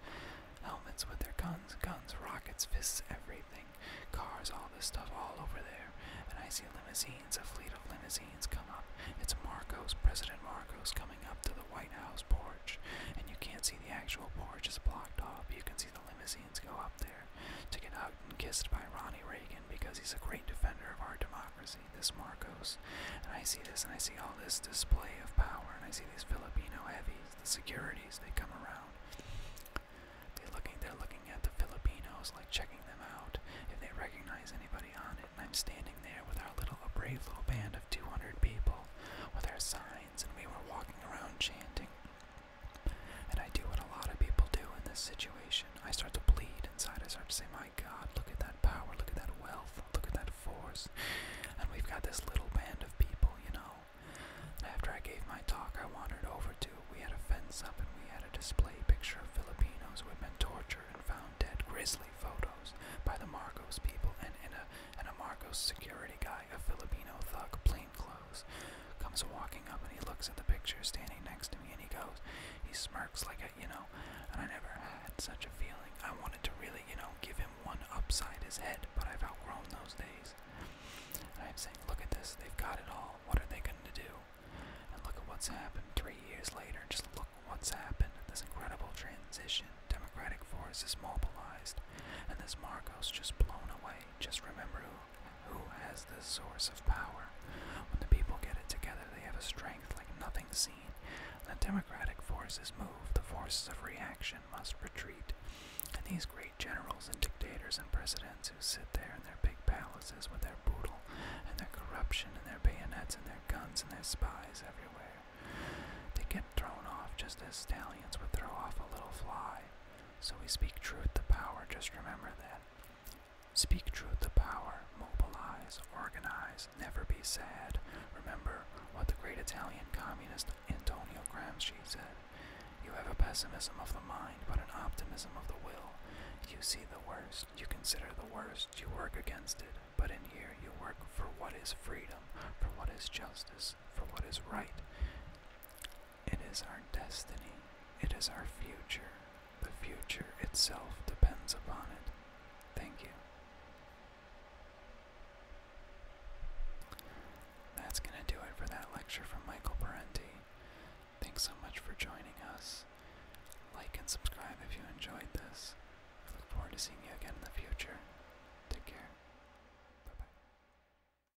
helmets with their guns, guns, rockets, fists, everything, cars, all this stuff, all over there. And I see limousines, a fleet of limousines come up. It's Marcos, President Marcos, coming up to the White House porch. And you can't see the actual porch, it's blocked off. You can see the limousines go up there to get hugged and kissed by Ronnie Reagan because he's a great defender of our democracy, this Marcos. And I see this, and I see all this display of power, and I see these Filipino heavies, the securities, they come around. They're looking, they're looking at the Filipinos, like checking them out, if they recognize anybody on it. And I'm standing there with our little, a brave little band of 200 people with our signs, and we were walking around chanting. And I do what a lot of people do in this situation. I start to bleed inside. I start to say, my God, look at that power, look at that wealth, look at that force. And we've got this little band of people, you know. after I gave my talk, I wandered over to, we had a fence up and we had a display picture of Filipinos who had been tortured and found dead, grisly photos by the Marcos people and, in a, and a Marcos security guy guy, a Filipino thug, plain clothes, comes walking up and he looks at the picture standing next to me and he goes, he smirks like a, you know, and I never had such a feeling. I wanted to really, you know, give him one upside his head, but I've outgrown those days. And I'm saying, look at this, they've got it all. What are they going to do? And look at what's happened three years later. Just look what's happened. This incredible transition. Democratic force is mobilized. And this Marcos just blown away. Just remember who who has the source of power. When the people get it together, they have a strength like nothing seen. the democratic forces move, the forces of reaction must retreat. And these great generals and dictators and presidents who sit there in their big palaces with their boodle and their corruption and their bayonets and their guns and their spies everywhere, they get thrown off just as stallions would throw off a little fly. So we speak truth to power, just remember that. Speak truth to power, mobilize, organize, never be sad. Remember what the great Italian communist Antonio Gramsci said. You have a pessimism of the mind, but an optimism of the will. You see the worst, you consider the worst, you work against it, but in here you work for what is freedom, for what is justice, for what is right. It is our destiny. It is our future. The future itself depends upon it. Thank you. That's going to do it for that lecture from Michael Parenti. Thanks so much for joining us. Like and subscribe if you enjoyed this. I look forward to seeing you again in the future. Take care. Bye bye.